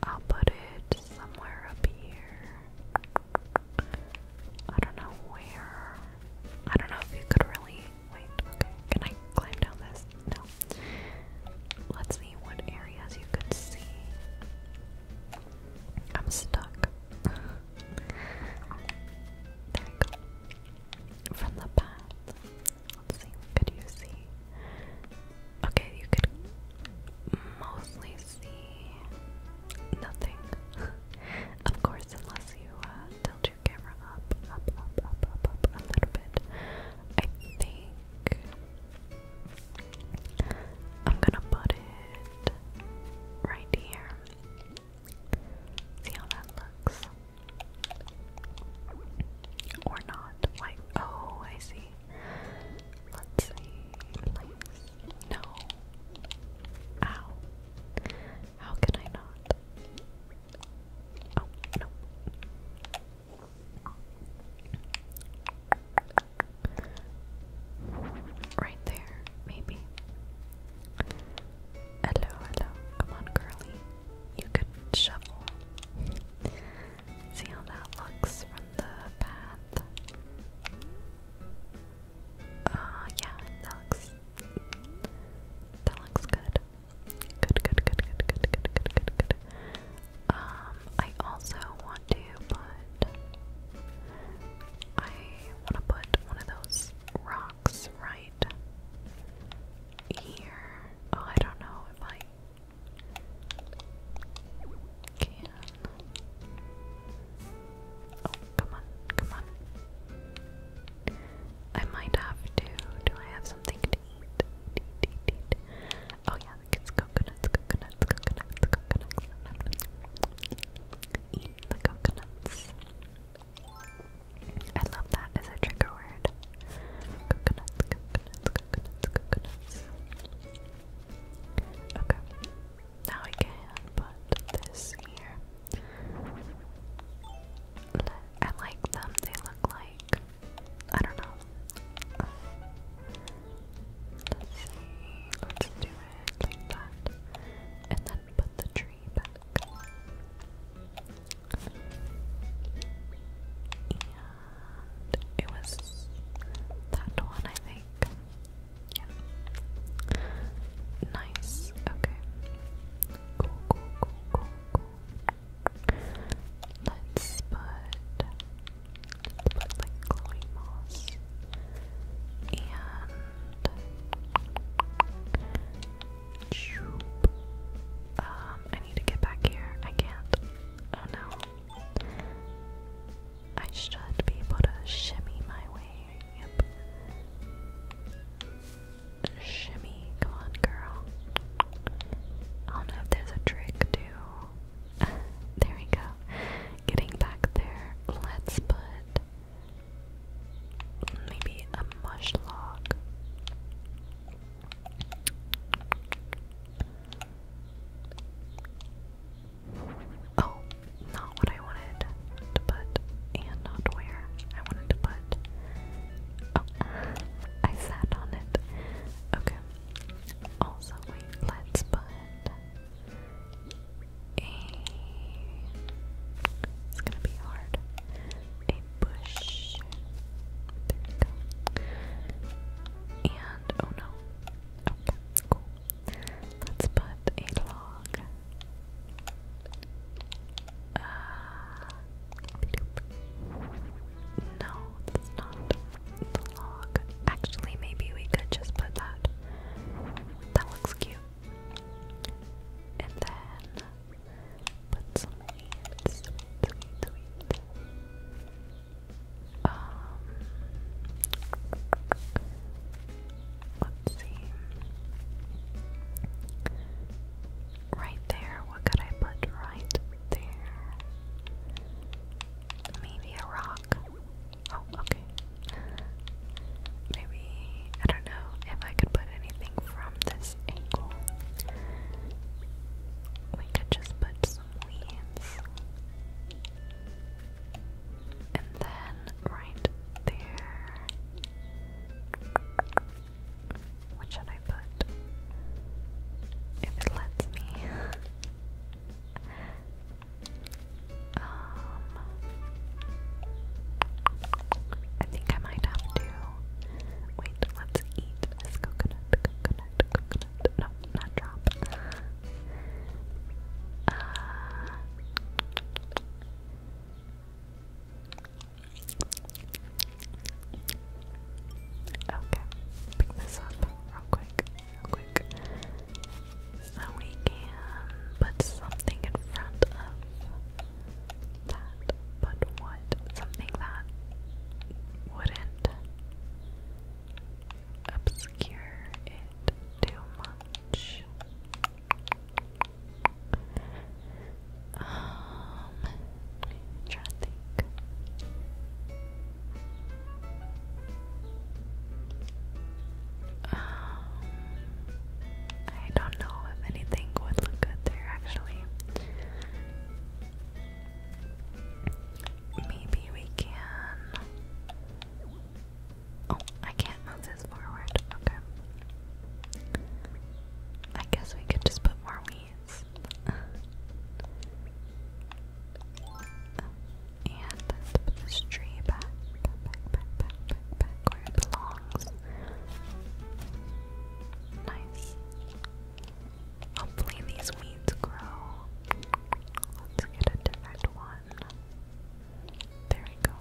I'll put it somewhere up here. I don't know where. I don't know if you could really. Wait, okay. Can I climb down this? No. Let's see what areas you could see. I'm stuck. There we go. From the path. Let's see, what could you see? Okay, you could mostly see nothing. of course, unless you uh, tilt your camera up, up, up, up, up, up a little bit. I think I'm gonna put it right here. See how that looks. Or not. Like, oh, I see. Let's see. No. Ow. How can I not? Oh, no. Right there, maybe. Hello, hello. Come on, girly. You could shovel. See how that looks from the path. Uh, yeah, that looks. That looks good. Good, good, good, good, good, good, good, good, good. Um, I also want to put. I want to put one of those rocks right here. Oh, I don't know if I can. Oh, come on, come on. I might have to. Do I have something to eat? Eat, eat, eat. Oh, yeah, it's coconuts, coconuts, coconuts, coconuts. Eat the coconuts. I love that as a trigger word. Coconuts, coconuts, coconuts, coconuts. Okay. Now we can put this here. I like them. They look like I don't know. let's see. Let's do it like that, and then put the tree three back. it was that one, I think. Yeah. Nice. Okay. Cool, cool, cool, cool, cool. Let's put, put like glowing moss. And um, I need to get back here. I can't. Oh no. I should be able to shimmy my way. Yep. Shimmy, come on, girl. I don't know if there's a trick to. there we go. Getting back there. Let's put Maybe a mushlock. Oh, not what I wanted to put, and not where I wanted to put. Oh, I sat on it. Okay. Also, wait, let's put a it's gonna be hard. A bush. There we go. And oh no. Okay, cool. Let's put a log. Uh no, that's not the log. Actually maybe we could just put that. That looks cute. And then put some weed, um, let's see. Right there, what could I put right there? Maybe a rock. Oh, okay. Okay. Maybe I don't know if I could put anything from this angle. We could just put some And then right there. What should I put? If it lets me. Um, I think I might have to wait. Let's eat this coconut, coconut, coconut. No, not drop. Uh, okay, pick this up real quick, real quick. So we can put something in front of that, but what? Something that wouldn't obscure it too much. Um, trying to think. Um, I don't know if anything would look good there actually. Maybe we can. Oh, I can't move this forward. Okay. I guess we could just put more weeds. and put this tree back where it belongs. Nice. Hopefully these weeds grow. Let's get a different one. There we go.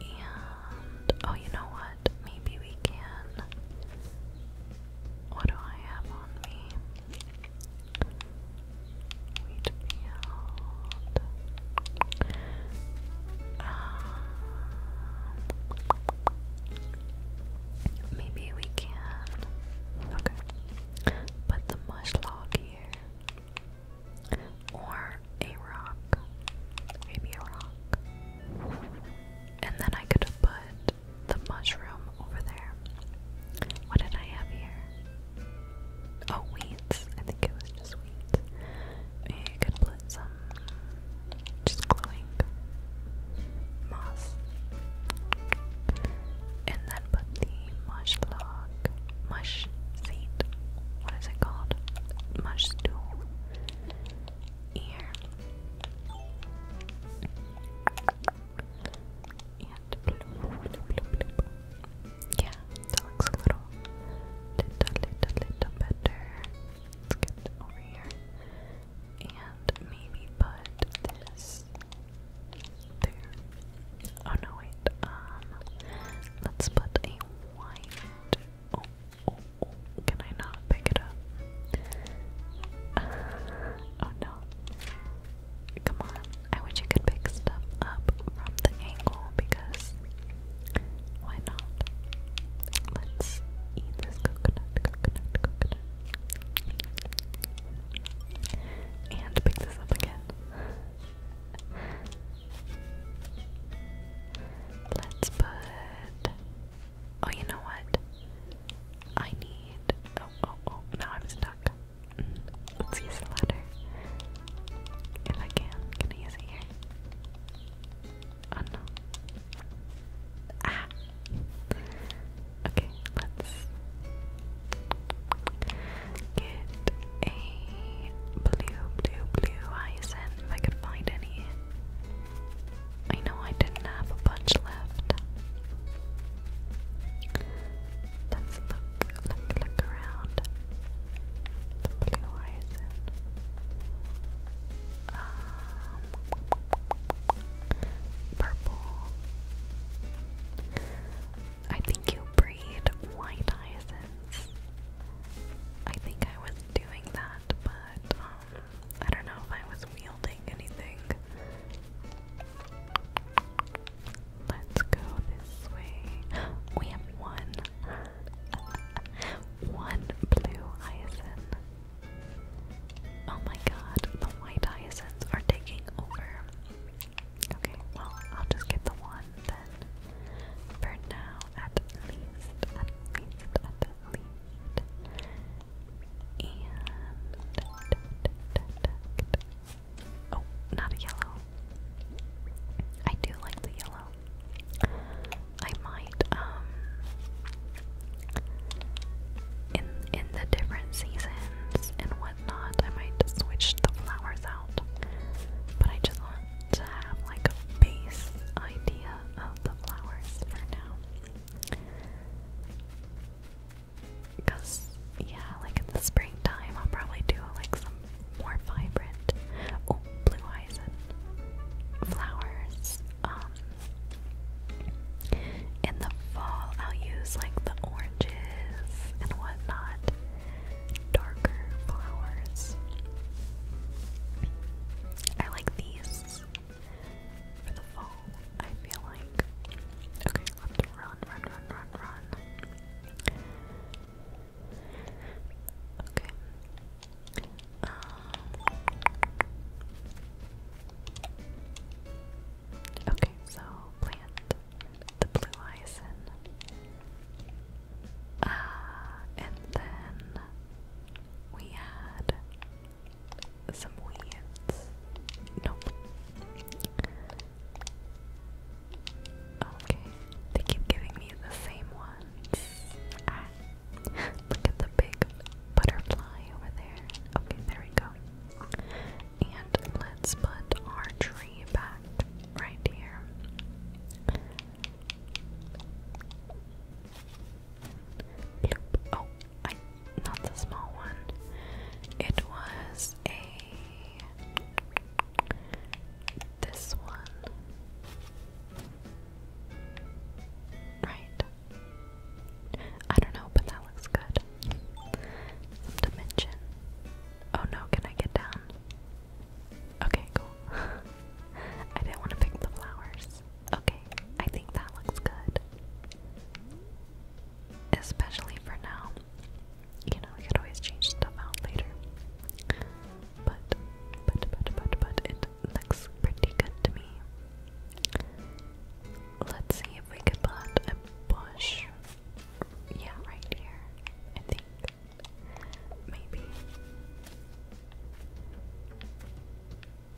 And oh, you know what? Maybe we can. What do I have on me? Uh, maybe we can. Okay. Put the mush log here. Or a rock. Maybe a rock. And then I could put the mushroom over there. What did I have here? Oh, weeds. I think it was just weeds. Maybe could put some just glowing moss. And then put the mush log, mush seed, what is it called? Mush stool here. Yeah, that looks a little, little, little, little better. Let's get over here. And maybe put this there. Oh no, wait. Um, let's put a white. oh. oh, oh can I not pick it up? oh no. Come on. I wish you could pick stuff up from the angle because why not? Let's eat this coconut, coconut, coconut. And pick this up again. Let's put. Oh, you know what? I need. Oh, oh, oh. Now I'm stuck. Mm. Let's use the ladder. If I can, can I use it here? Oh no. Ah! Okay, let's get a blue, blue, blue hyacinth if I could find any. I know I didn't have a bunch left. That's the look, look around blue horizon. Um, purple. I think you breed white hyacinths. I think I was doing that, but um, I don't know if I was wielding anything. Let's go this way. We have one. One blue hyacinth. Oh my god, the white hyacinths are taking over. Okay, well, I'll just get the one then. For now, at least, at least, at least. And. Oh, not a yellow. I do like the yellow. I might um in in the different seasons and whatnot, I might switch the flowers out. But I just want to have like a base idea of the flowers for now. Because, yeah, like in the springtime, I'll probably do like some more vibrant. Oh, blue eyes and flowers. Um, in the fall, I'll use like the oranges and whatnot, darker flowers. I like these for the fall, I feel like. Okay, let run, run, run, run, run. Okay. Um, okay, so plant the blue hyacin. Uh, and then we had some weeds. Nope. Okay, they keep giving me the same ones. Ah, look at the big butterfly over there. Okay, there we go. And let's put our tree back right here. Oh, not the small one. It was a this one. Right. I don't know, but that looks good. dimension. Oh no, can I get down? Okay, cool. I didn't want to pick the flowers. Okay, I think that looks good. Especially for now. You know, we could always change stuff out later but, but, but, but, but it looks pretty good to me. Let's see if we could plant a bush. Yeah, right here. I think. Maybe.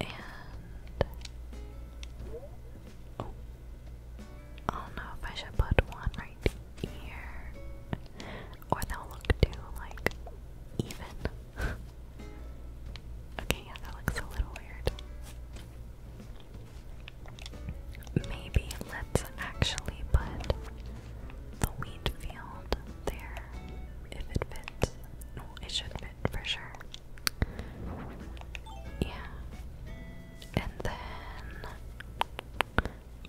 And. Oh. I don't know if I should put one right here. Or they'll look too, like, even. okay, yeah, that looks a little weird. Maybe let's actually put the wheat field there if it fits. No, it should fit for sure. Yeah. And then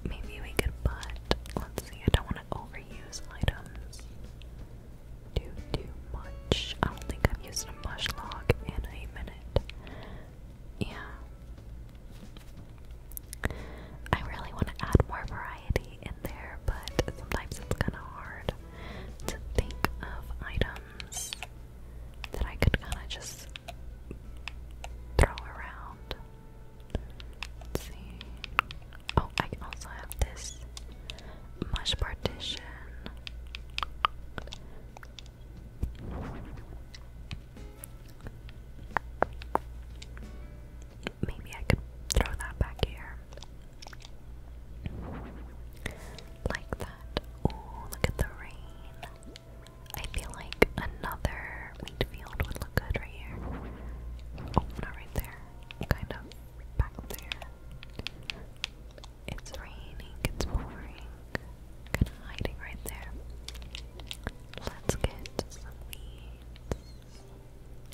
Maybe we could Let's see. I don't want to overuse items. Do too much. I don't think I've used a mush log in a minute. Yeah. I really want to add more variety in there, but sometimes it's kind of hard to think of items that I could kind of just throw around. Oh, I also have this mesh partition. Maybe I could throw that back here. Like that. Oh, look at the rain. I feel like another here. Wheatfield would look good right here. Oh, not right there. Kind of back there. It's raining, it's pouring. Kind of hiding right there. Let's get some weeds.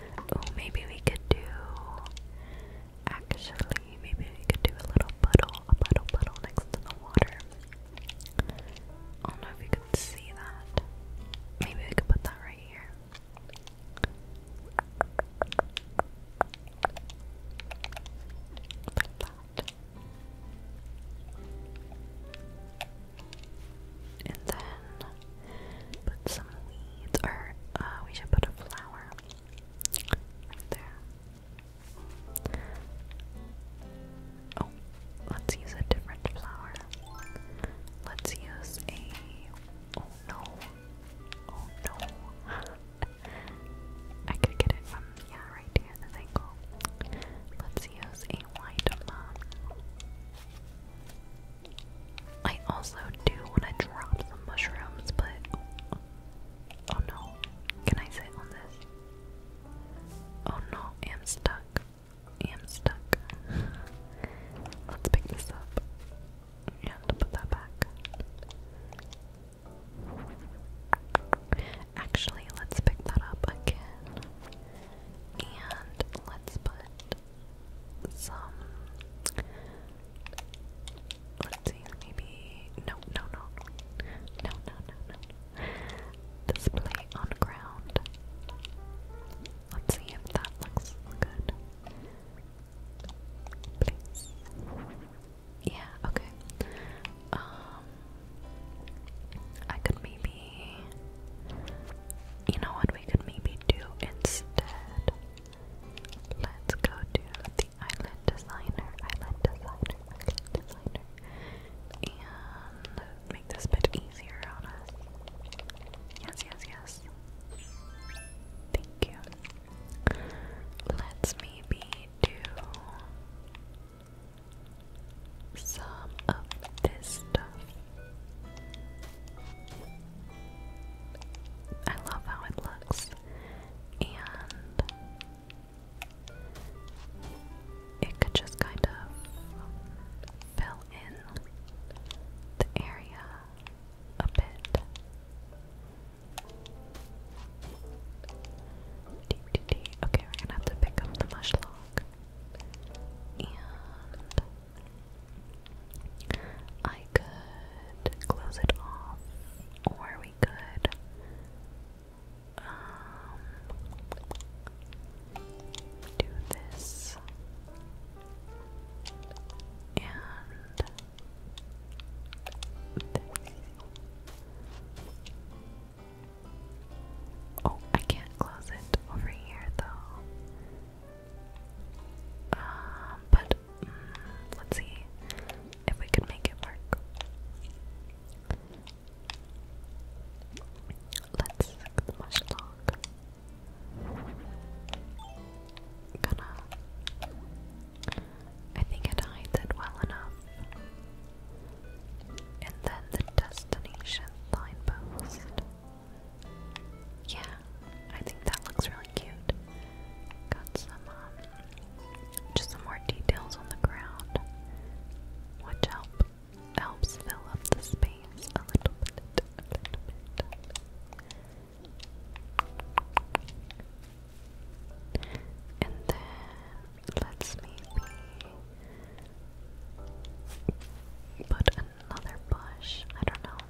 Oh, maybe we could do. Actually, maybe we could do a little puddle, a puddle puddle next to the water. I don't can see that. Maybe we could put that right here. Like that. And then put some weeds, or uh, we should put a flower right there. Oh, let's use a different flower. Let's use a. Oh no. Oh no. I could get it from, yeah, right here, this angle. Let's use a white mom. I also do want to drop some mushrooms, but. Oh no. Can I sit on this? Oh no, I'm stuck i am stuck. Let's pick this up and put that back. Actually, let's pick that up again. And let's put some. Let's see, maybe. No, no, no. No, no, no, no. Display on ground. Let's see if that looks good. Please. Yeah, okay. Um I could maybe you know what we could maybe do instead. Let's go to the eyelid designer, eyelid designer, eyelid designer. And make this a bit easier on us. Yes, yes, yes. Thank you. Let's maybe do some of this stuff. I love how it looks. And it could just kind of fill in the area a bit. Okay, we're gonna have to pick up the mushlock. And I could close it off, or we could. Um, do this and Oh, I can't close it over here though. Um, but mm, let's see if we can make it work. Let's the mushlock. I think it hides it well enough. And then the destination signpost. Yeah, I think that looks really cute. Got some, um, just some more details on the ground, which help helps fill up the space a little bit, And then let's maybe put another bush. I don't know.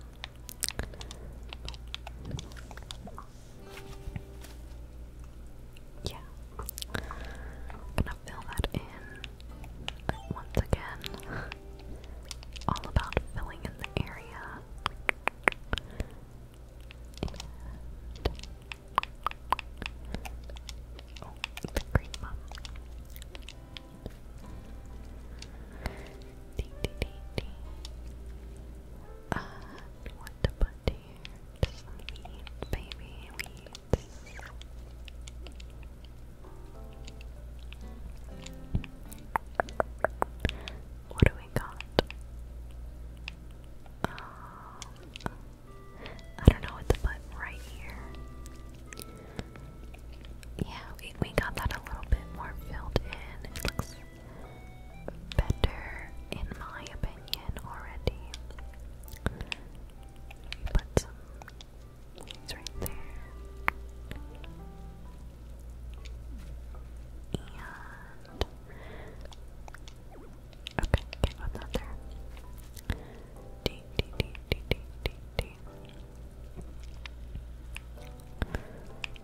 Yeah. gonna fill that in once again, all about filling in the area. oh, the green one. Dee, dee, dee, Uh, what to put here? baby, what do we got? Um, I don't know what to put right here. Yeah, we, we got that a little bit more filled in. It looks better, in my opinion, already. We He's right there. And okay, okay, what's out there? D D D D D D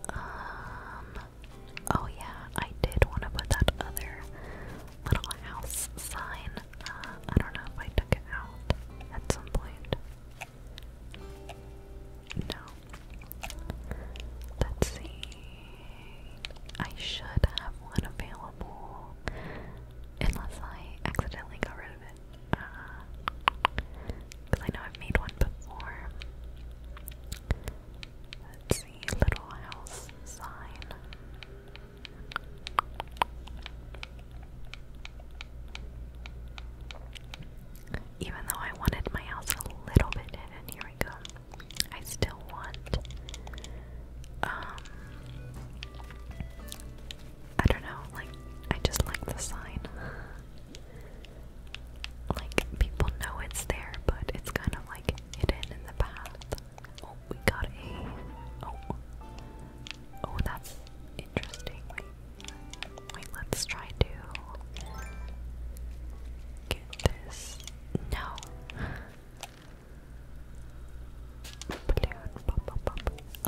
Um. Oh yeah, I did want to put that other little house sign. Uh, I don't know if I took it out at some point. No. Let's see. I should have one available. Unless I accidentally got rid of it. Because uh, I know I've made one before. Let's see, little house sign. Even though I wanted my house a little bit hidden, here we go. I still want, um, I don't know, like, I just like the sign. Like, people know it's there, but it's kind of like hidden in the path. Oh, we got a, oh, Oh, that's interesting. Wait, wait, let's try to get this. No.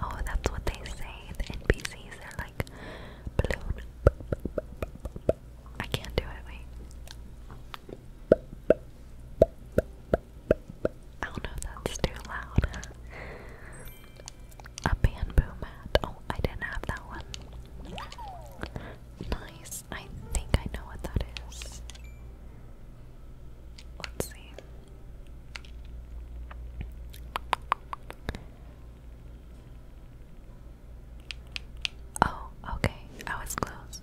Oh, that's what they say. The NPCs are like I can't do it. Wait. I do that's too loud. A bamboo mat. Oh, I didn't have that one. Nice. I think I know what that is. Let's see. Oh, okay. I was close.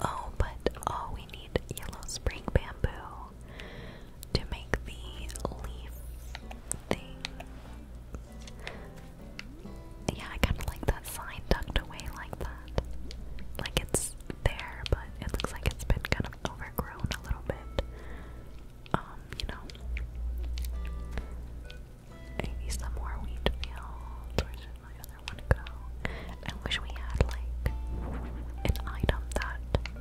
Oh, but oh, we need yellow spring bamboo to make the leaf thing. Yeah, I kind of like that sign tucked away like that. Like it's there, but it looks like it's been kind of overgrown a little bit. Um, you know. Maybe some more wheat another one go. I wish we had like an item that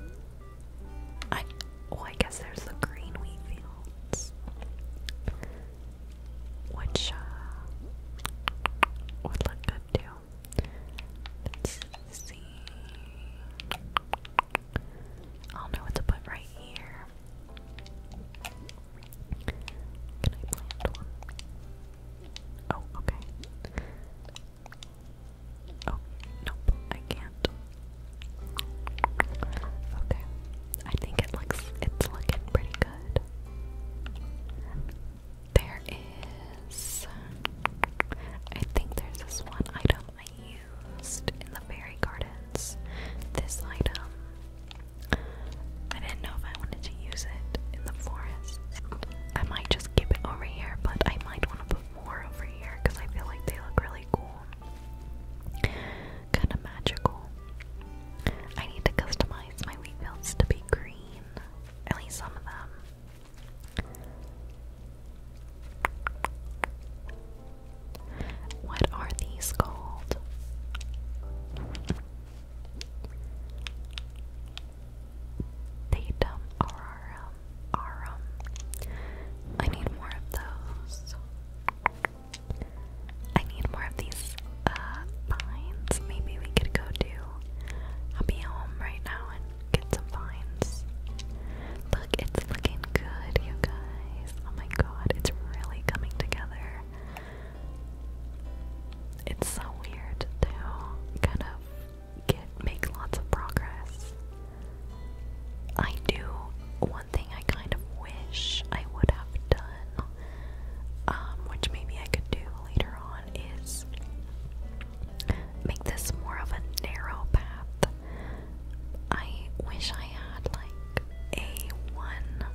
I oh I guess there's the green wheat fields. Which uh, would look good too. Let's see. I'll know what to put right here. Oh, okay. Oh, nope, I can't. Okay. I think it looks it's looking pretty good. There is I think there's this one item I used in the fairy gardens. This item I didn't know if I wanted to use it in the forest. I might just keep it over here, but I might want to put more over here because I feel like they look really cool. Kind of magical. I need to customize my wheat fields to be green. At least some of them. What are these called? Datum aurorum. Aurum. I need more of those. I need more of these uh, vines. Maybe we could go to. I'll be home right now and get some vines. Look, it's looking good, you guys. Oh my god, it's really coming together. It's so weird, too. Kind of get make lots of progress. I do one thing I kind of wish I would have done, um, which maybe I could do later on, is make this more of a narrow path. I wish I had like a one.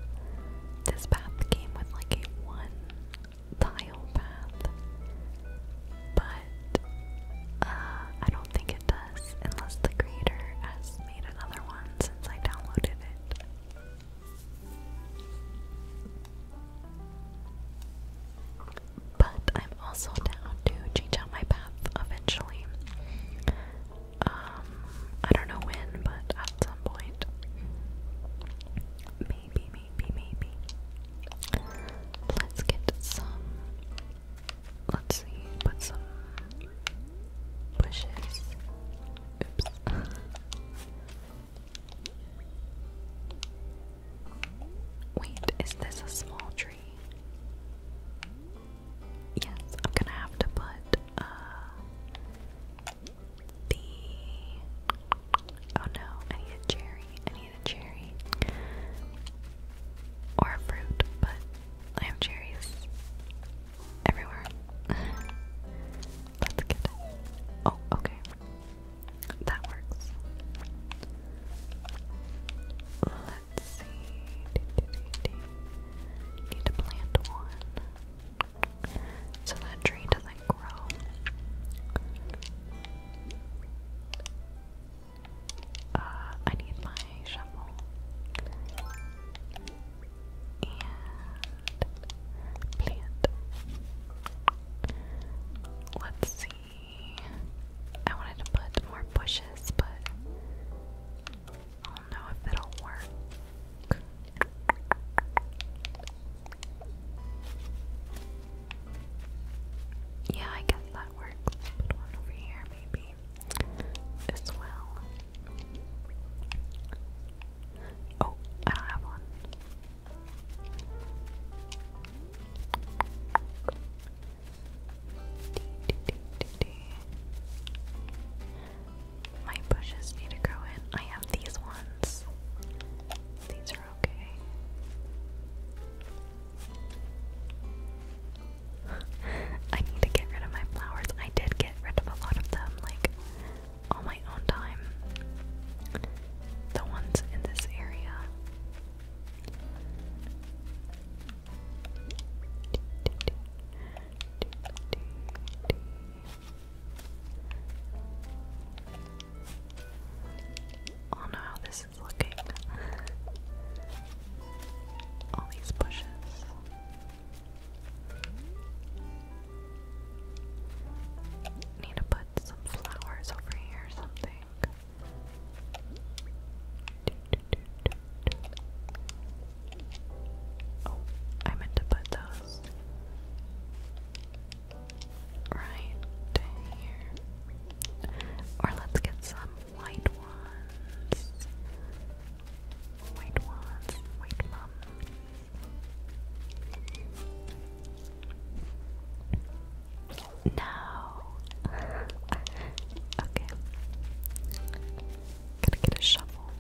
This path came with like a one tile path, but uh, I don't think it does unless the creator has made another one since I downloaded it. But I'm also down to change out my path eventually. Um, I don't know when, but at some point maybe, maybe, maybe. Let's get some. Let's see, put some bushes. Oops. Wait, is this a small tree? Yes, I'm gonna have to put uh, the oh no, I need a cherry, a cherry or a fruit, but I have cherries everywhere. Let's get it. Oh, okay. That works. Let's see. Need to plant one. So that tree doesn't like grow. Uh, I need my shovel. And plant. Let's see. I wanted to put more bushes, but I don't know if it'll work. Yeah, I guess that works. Put one over here, maybe, as well. Oh, I don't have one. My bushes need to grow in. I have these ones. These are I need to get rid of my flowers. I did get rid of a lot of them, like all my own time. The ones in this area. I oh, don't know how this is looking. All these bushes. Need to put some flowers over here something. Oh, I meant to put those right here. Or let's get some white ones. White ones. White mum. No. okay. Gotta get a shovel.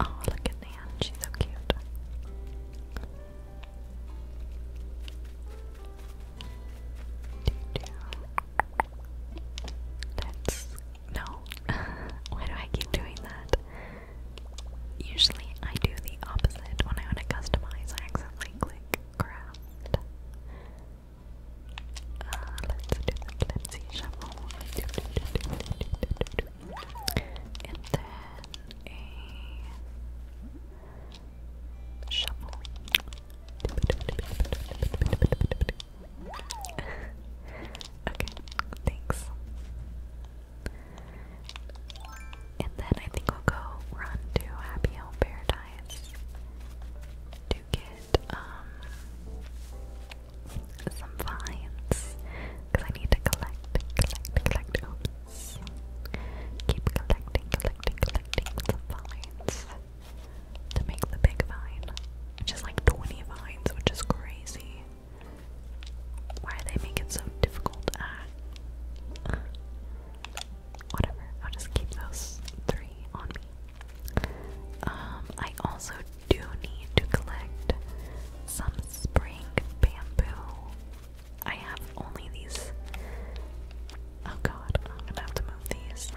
Oh, look at Nan. She's so cute. That's no. Why do I keep doing that? Usually I do the opposite when I want to customize. I accidentally click craft. Uh, let's do this. Let's see, and then a shovel. okay, thanks. And then I think we'll go run to Happy Home Paradise to get um some vines because I need to collect, collect, collect. Keep collecting, collecting, collecting the vines to make the big vine, which like 20 vines, which is crazy. Why do they make it so difficult? Whatever, I'll just keep those three on me. Um, I also do need to collect some spring bamboo I have only these. Oh god, I'm gonna have to move these.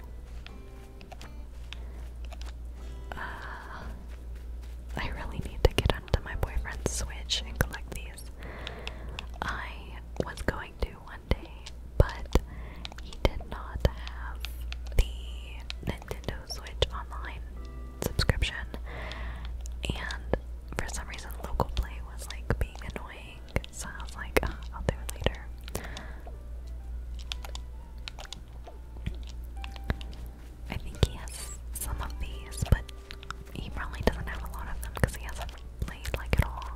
Uh, I really need to get onto my boyfriend's Switch and collect these. I was going to one day, but he did not have the Nintendo Switch online subscription, and for some reason, local play was like being annoying, so I was like, oh, I'll do it later. I think he has some of these, but he probably doesn't have a lot of them because he hasn't played like at all.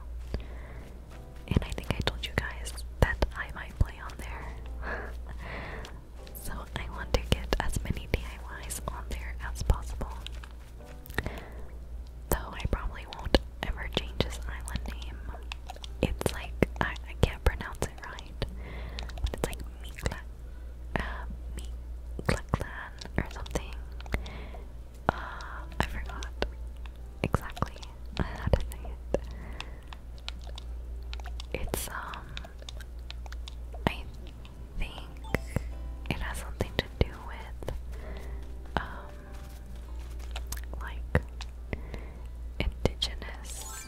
And I think I told you guys that I might play on there. so I want to get as many DIYs on there as possible. Though I probably won't ever change this island name. It's like, I, can't pronounce it right, it's like Mikla, uh, or something. Uh, I forgot exactly how to say It's, um, think it has something to do with, um, like indigenous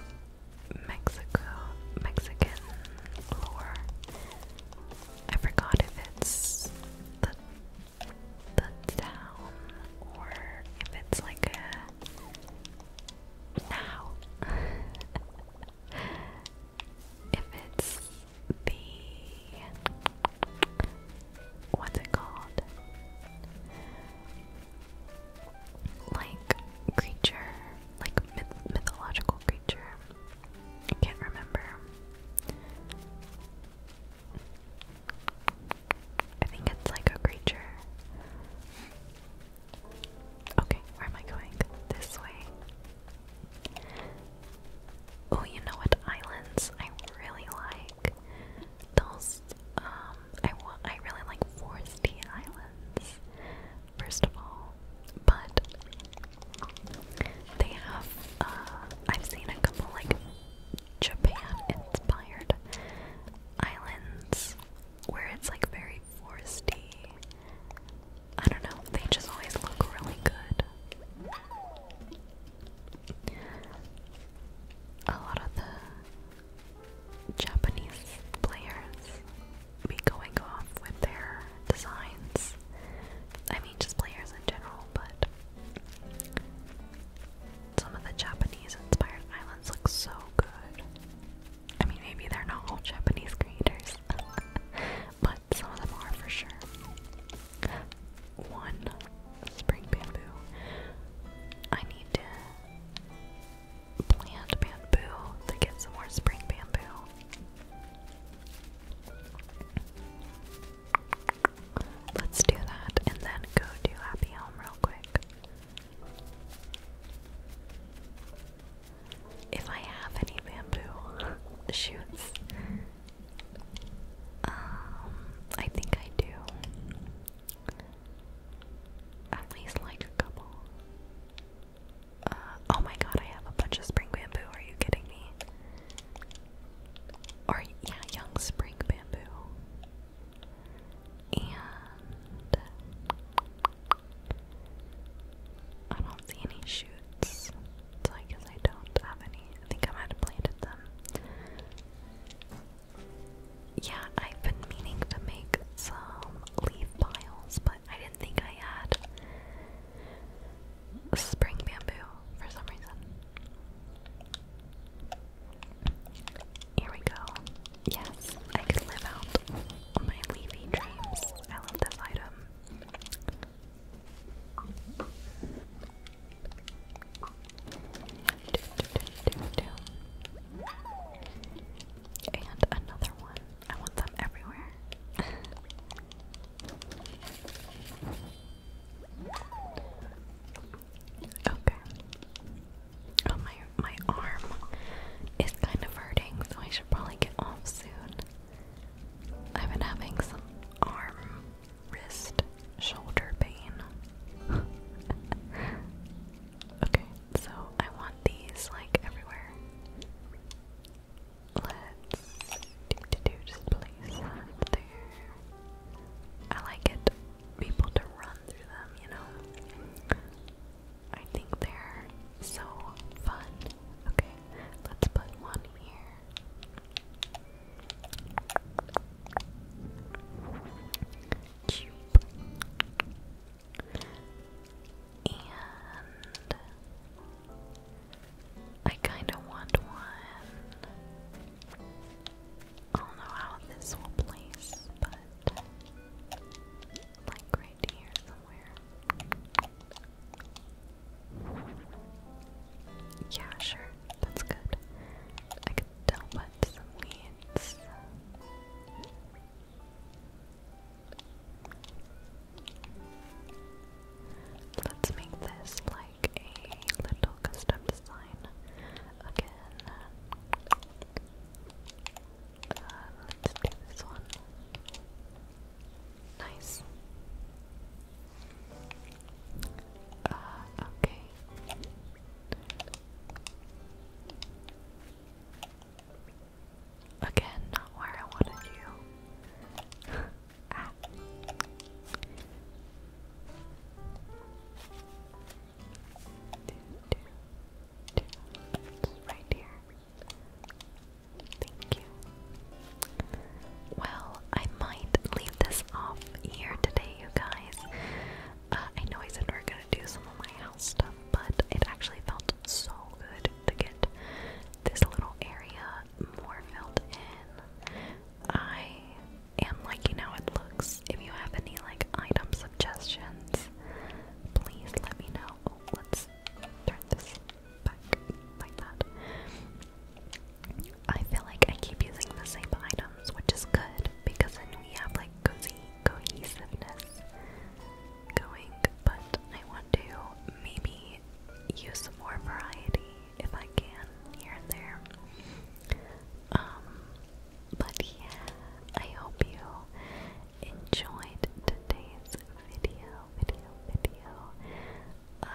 Mexico, Mexican lore. I forgot if it's the the town or if it's like a now. if it's the what's it called? Like creature, like myth mythological creature. I can't remember. I think it's like a creature. Okay, where am I going? This way. Oh, you know what islands I really like? Those, um, I, I really like foresty islands, first of all, but they have, uh, I've seen a couple, like, Japan-inspired islands where it's, like, very foresty I don't know, they just always look really good. A lot of the Japanese players be going off with their designs. I mean, just players in general, but some of the Japanese inspired islands look so good. I mean, maybe they're not all Japanese creators, but some of them are for sure. One spring bamboo. I need to plant bamboo to get some more spring bamboo. Let's do that and then go do Happy Home real quick if I have any bamboo shoots. Um, I think I do. At least like a couple. Uh, oh my god, I have a bunch of spring bamboo. Are you kidding me? Or, yeah, young spring bamboo. And. I don't see any shoots, so I guess I don't have any. I think I might have planted them. Yeah, I've been meaning to make some leaf piles, but I didn't think I had spring bamboo for some reason. Here we go. Yes, I can live out my leafy dreams. I love this item. And another one. I want them everywhere. okay. Oh my my arm is kind of hurting, so I should probably get off soon. I've been having some arm, wrist, shoulder pain. okay, so I want these like everywhere. Let's do, do, just place there. I like it people to run through them, you know. I think they're so fun. Okay. Let's put one here. And I kind of want one. I don't know how this will place, but like right here, yeah, sure, that's good. I could tell what some needs. Let's make this like a little custom design again. Uh, let's do this one. Nice. Uh, okay. Again, not where I wanted you. ah. right here. Thank you. Well, I might leave this off here today, you guys. Uh, I know I said we are gonna do some of my house stuff, but it actually felt so good to get this little area more filled in. I am liking how it looks. If you have any like item suggestions, please let me know. Oh, let's turn this like that. I feel like I keep using the same items, which is good because then we have like cozy cohesiveness going. But I want to maybe use some more variety if I can here and there. Um, but yeah, I hope you enjoyed today's video, video, video. Um,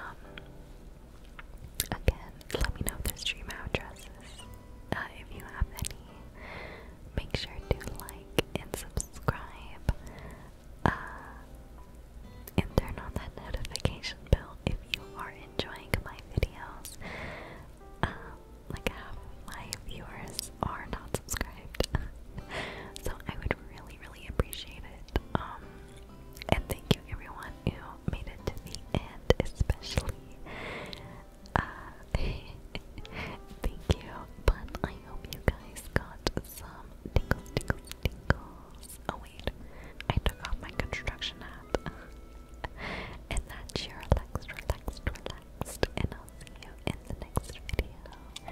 again, let me know the stream addresses. Uh, if you have any, make sure to like and subscribe. Uh, and turn on that notification bell if you are enjoying my videos. Uh, like my viewers are not subscribed. so I would really, really appreciate it. Um, and thank you everyone who made it to the end, especially. Uh, thank you, but I hope you guys got some tingles, tingles, tingles. Oh wait, I took off my construction hat. and that's your relaxed, relaxed, relaxed, and I'll see you in the next video.